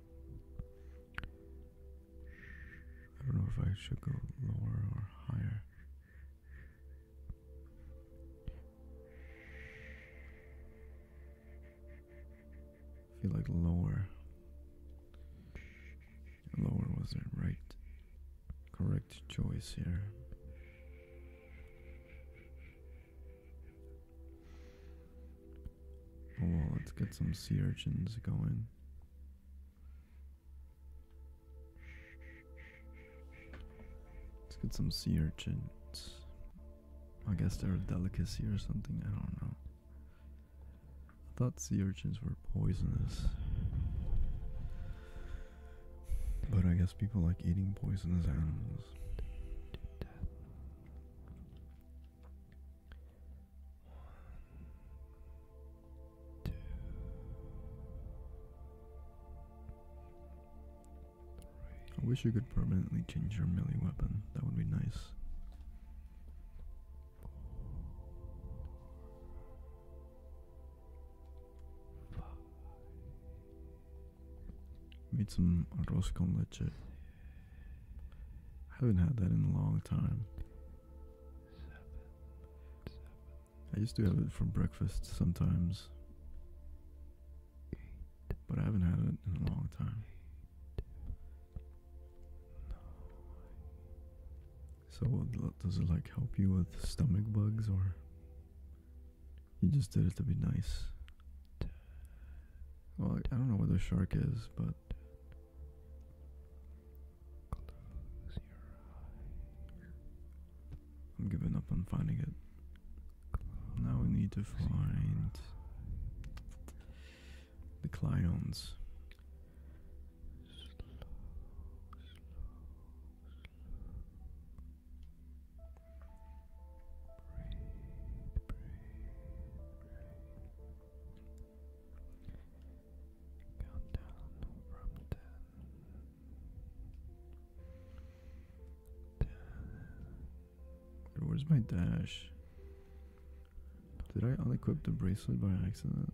I don't know if I should go lower or higher. feel like lower Lower was the right, correct choice here. Oh let's get some sea urchins going. Let's get some sea urchins. I guess they're a delicacy or something, I don't know. I thought sea urchins were poisonous. But I guess people like eating poisonous animals. I wish you could permanently change your melee weapon. That would be nice. Made some arroz con leche. Haven't had that in a long time. I used to have it for breakfast sometimes, but I haven't had it in a long time. So does it like help you with stomach bugs or you just did it to be nice? Well, I don't know where the shark is, but I'm giving up on finding it. now we need to find the clions. Count down from ten. Ten. Where's my dash? Did I unequip the bracelet by accident?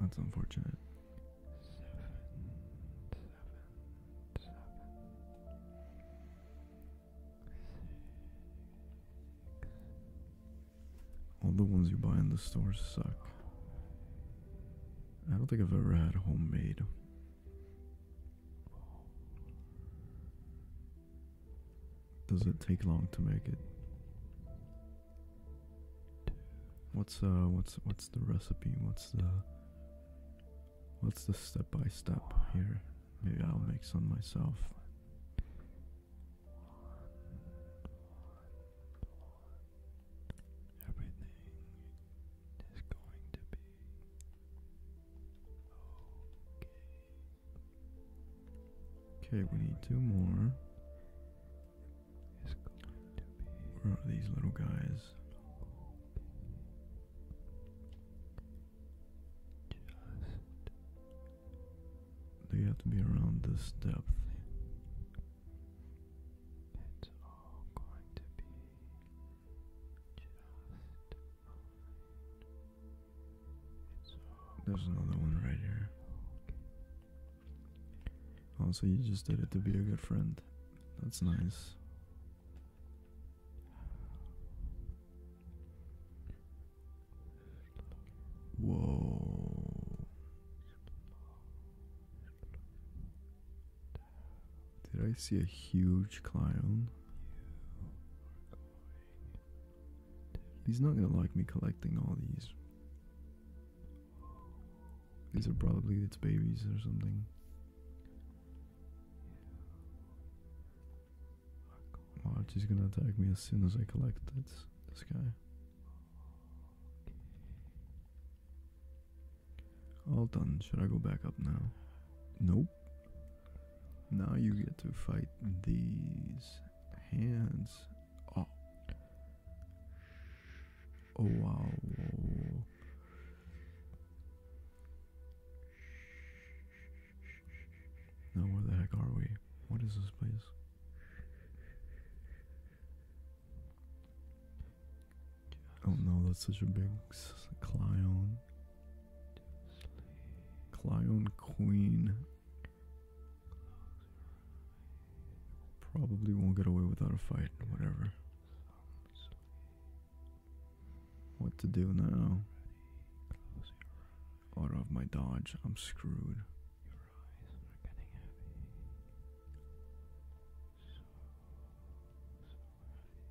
That's unfortunate. All the ones you buy in the store suck. I don't think I've ever had homemade. Does it take long to make it? What's uh what's what's the recipe? What's the what's the step by step here? Maybe I'll make some myself. Everything is going to be Okay, we need two more. Where are these little guys? They have to be around this depth. There's another one right here. Also, you just did it to be a good friend. That's nice. Whoa. Did I see a huge clown? He's not gonna like me collecting all these. These are probably its babies or something. March is gonna attack me as soon as I collect this, this guy. All done. Should I go back up now? Nope. Now you get to fight these hands. Oh. Oh wow. Now where the heck are we? What is this place? Oh no, that's such a big clown. Clyon Queen. Probably won't get away without a fight, whatever. What to do now? Out of my dodge, I'm screwed.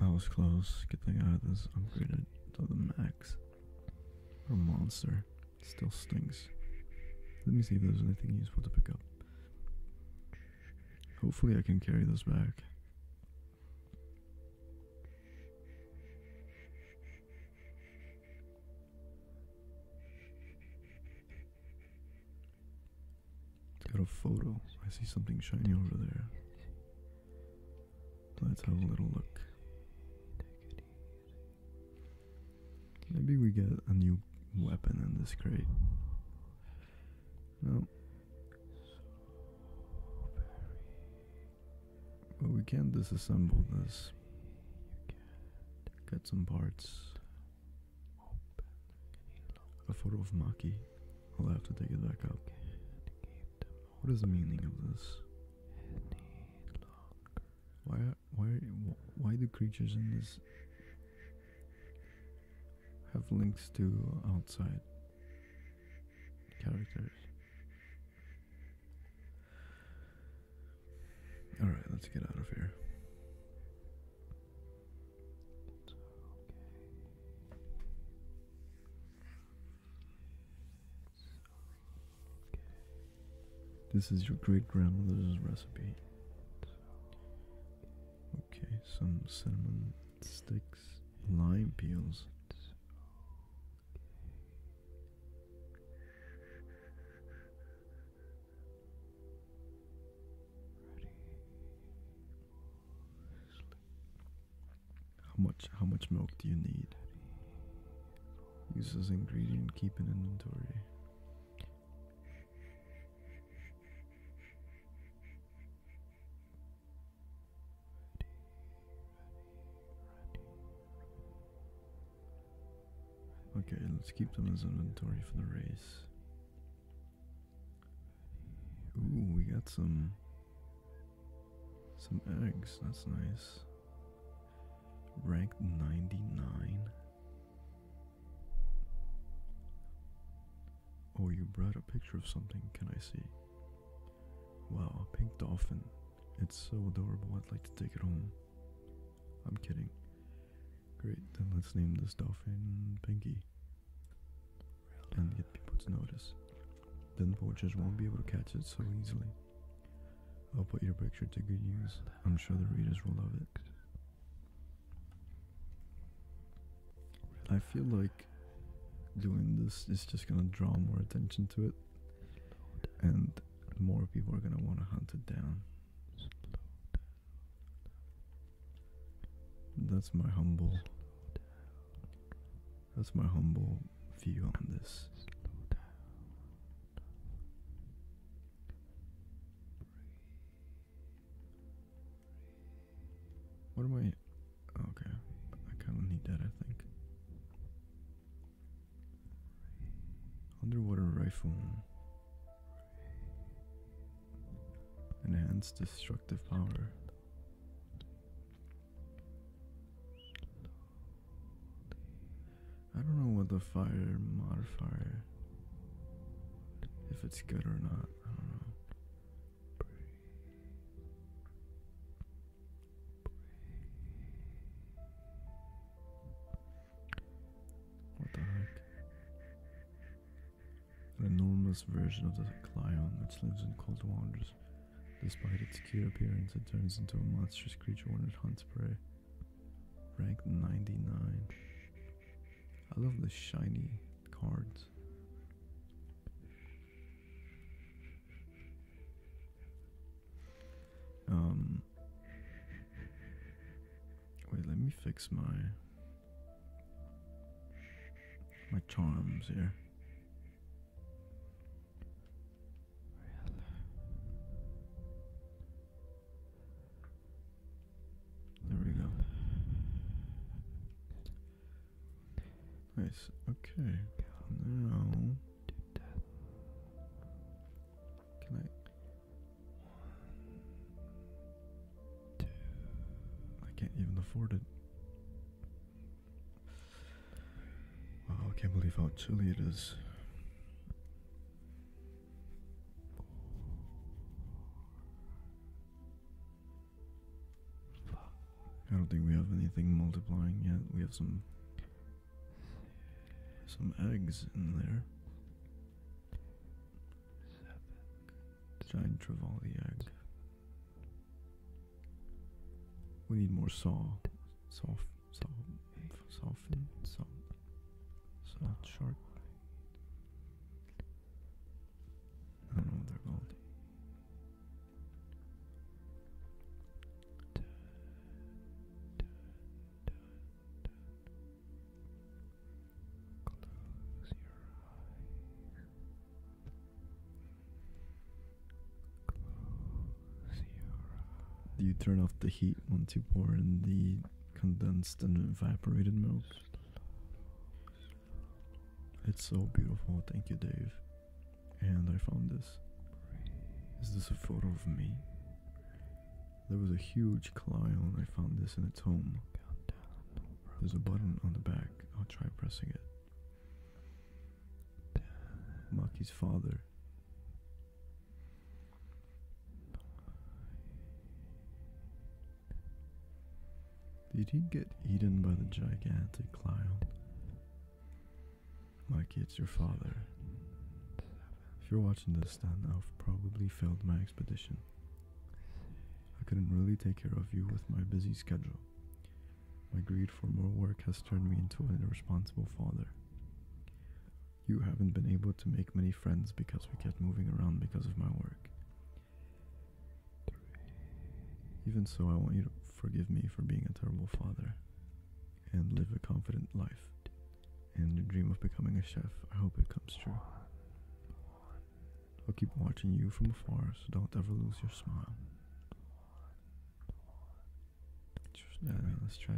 That was close. Good thing I had this upgraded to the max. A monster. Still stings. Let me see if there's anything useful to pick up. Hopefully I can carry this back. Got a photo. I see something shiny over there. Let's have a little look. Maybe we get a new weapon in this crate. No. But we can disassemble this. Get some parts. A photo of Maki. I'll have to take it back up. What is the meaning of this? Why, why, why do creatures in this have links to outside characters? Alright, let's get out of here. This is your great grandmother's recipe. Okay, some cinnamon sticks, lime peels. How much how much milk do you need? Use as ingredient, keep an inventory. Okay, let's keep them as inventory for the race. Ooh, we got some some eggs, that's nice. Ranked 99. Oh, you brought a picture of something, can I see? Wow, a pink dolphin. It's so adorable, I'd like to take it home. I'm kidding. Great, then let's name this dolphin Pinky and get people to notice. Then vultures won't be able to catch it so easily. I'll put your picture to good use. I'm sure the readers will love it. I feel like doing this is just gonna draw more attention to it, and more people are gonna wanna hunt it down. That's my humble that's my humble view on this. What am I? Okay, I kind of need that. I think. Underwater rifle. Enhanced destructive power. I don't know what the fire modifier if it's good or not, I don't know. What the heck? An enormous version of the Clyon which lives in cold waters Despite its cute appearance, it turns into a monstrous creature when it hunts prey. Ranked 99. I love the shiny cards. Um. Wait, let me fix my my charms here. There we go. Nice. Okay. Now, can I? I can't even afford it. Wow, I can't believe how chilly it is. I don't think we have anything multiplying yet. We have some some eggs in there. Giant Trevally egg. We need more saw, soft, soft, softened, soft, soft, sharp. I don't know what they're called. Do you turn off the heat once you pour in the condensed and evaporated milk? It's so beautiful, thank you, Dave. And I found this. Is this a photo of me? There was a huge and I found this in its home. There's a button on the back. I'll try pressing it. Maki's father. Did he get eaten by the gigantic lion? Mikey, it's your father. If you're watching this, then I've probably failed my expedition. I couldn't really take care of you with my busy schedule. My greed for more work has turned me into an irresponsible father. You haven't been able to make many friends because we kept moving around because of my work. Even so, I want you to forgive me for being a terrible father and live a confident life. And your dream of becoming a chef, I hope it comes true. I'll keep watching you from afar, so don't ever lose your smile. Just I mean, let's to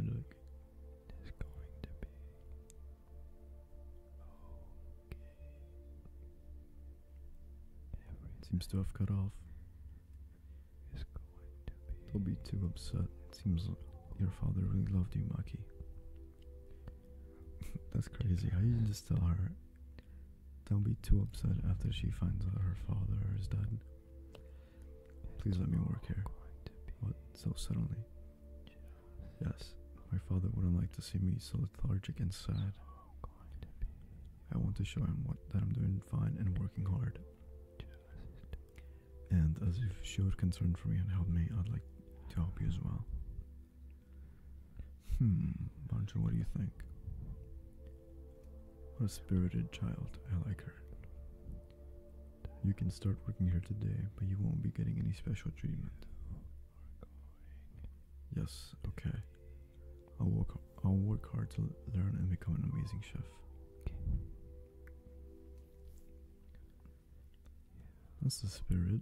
seems to have cut off. Is going be. Don't be too upset. seems your father really loved you, Maki. That's crazy. I you just tell her don't be too upset after she finds out her father is dead. Please let me work here. What? So suddenly? Yes, my father wouldn't like to see me so lethargic and sad. I want to show him what, that I'm doing fine and working hard. And as if she concern for me and helped me, I'd like to help you as well. Hmm, Bonjour, what do you think? a spirited child. I like her. You can start working here today, but you won't be getting any special treatment. Yes, okay. I'll work I'll work hard to learn and become an amazing chef. That's the spirit.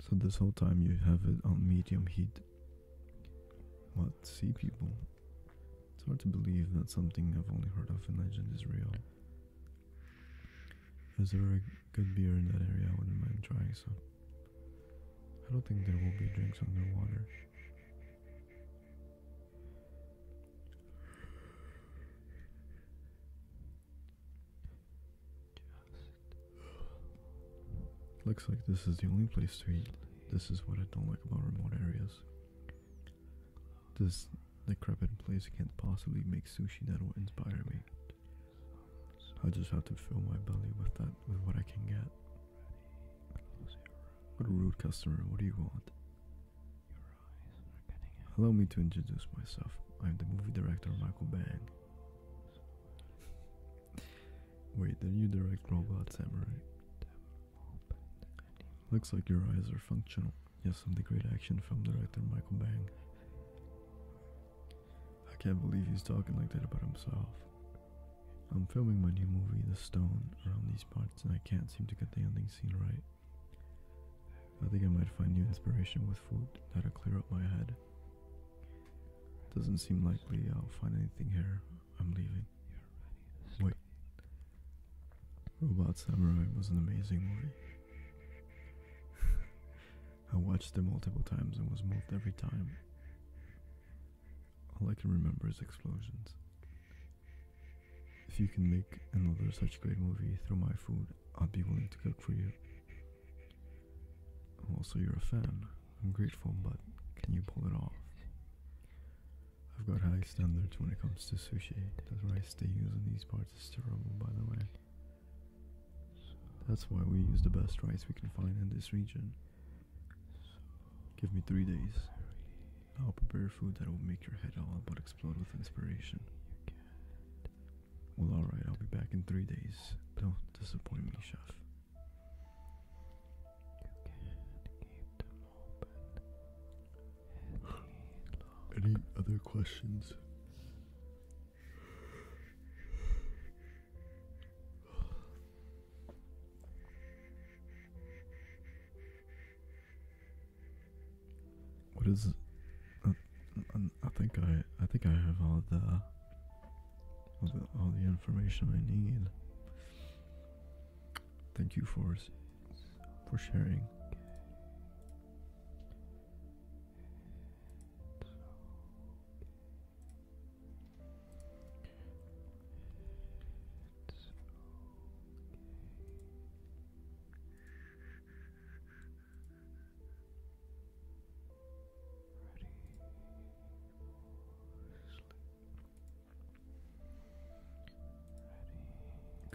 So this whole time you have it on medium heat. What? Sea people? It's hard to believe that something I've only heard of in legend is real. Is there a good beer in that area? I wouldn't mind trying So I don't think there will be drinks underwater. Looks like this is the only place to eat. This is what I don't like about remote areas. This decrepit place can't possibly make sushi that will inspire me. I just have to fill my belly with that with what I can get. What a rude customer, what do you want? Allow me to introduce myself. I'm the movie director Michael Bang. Wait, did you direct Robot Samurai? Looks like your eyes are functional. Yes, I'm the great action film director Michael Bang. I can't believe he's talking like that about himself. I'm filming my new movie, The Stone, around these parts, and I can't seem to get the ending scene right. I think I might find new inspiration with food that'll clear up my head. Doesn't seem likely I'll find anything here. I'm leaving. Wait. Robot Samurai was an amazing movie. I watched it multiple times and was moved every time. All I can remember is explosions. If you can make another such great movie through my food, I'd be willing to cook for you. Also, you're a fan. I'm grateful, but can you pull it off? I've got high standards when it comes to sushi. The rice they use in these parts is terrible, by the way. That's why we use the best rice we can find in this region. Give me three days. I'll prepare food that will make your head all but explode with inspiration. Well, alright, I'll be back in three days. Don't disappoint me, Chef. Any other questions? What is? Uh, uh, I think I I think I have all the all the, all the information I need. Thank you for for sharing.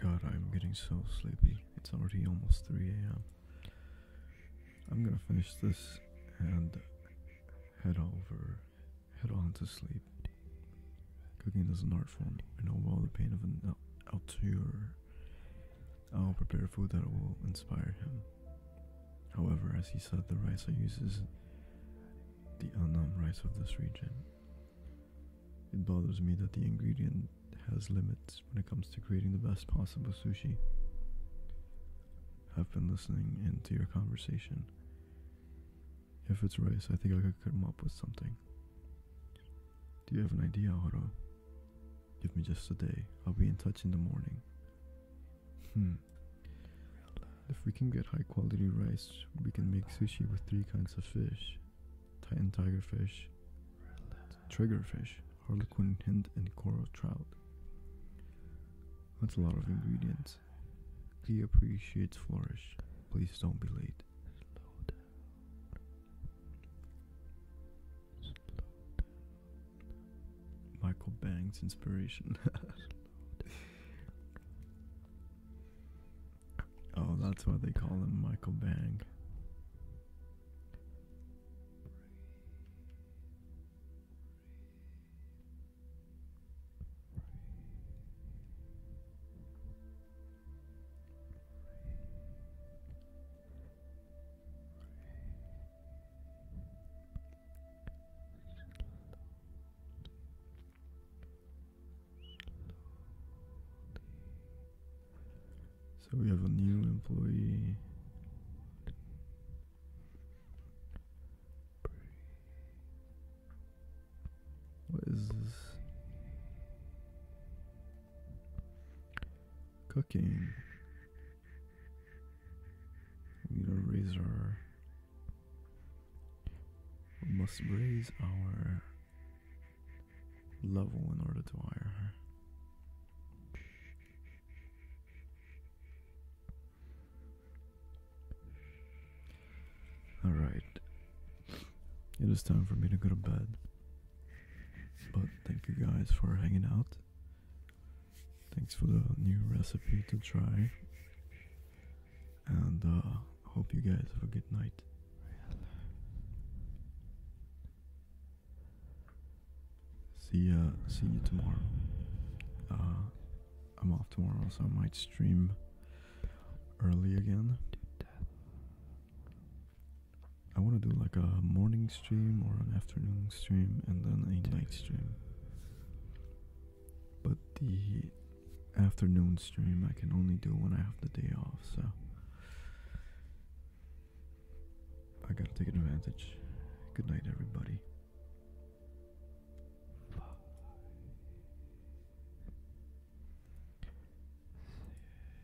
God, I'm getting so sleepy. It's already almost 3 a.m. I'm gonna finish this and head over, head on to sleep. Cooking is an art form. I know well the pain of an alture I will prepare food that will inspire him. However, as he said, the rice I use is the Annam rice of this region. It bothers me that the ingredient has limits when it comes to creating the best possible sushi. I've been listening into your conversation. If it's rice, I think I could come up with something. Do you have an idea, Hodo? Give me just a day. I'll be in touch in the morning. Hmm. If we can get high quality rice, we can make sushi with three kinds of fish. Titan tiger fish, triggerfish, harlequin hind, and coral trout. That's a lot of ingredients. He appreciates flourish. Please don't be late. Michael Banks inspiration. oh, that's why they call him Michael Bang. So we have a new employee. What is this? Cooking. We need to raise our. must raise our level in order to hire her. Alright. It is time for me to go to bed. But thank you guys for hanging out. Thanks for the new recipe to try. And uh hope you guys have a good night. See uh see you tomorrow. Uh, I'm off tomorrow so I might stream early again. I want to do like a morning stream or an afternoon stream and then a night stream. But the afternoon stream I can only do when I have the day off, so I gotta take advantage. Good night, everybody.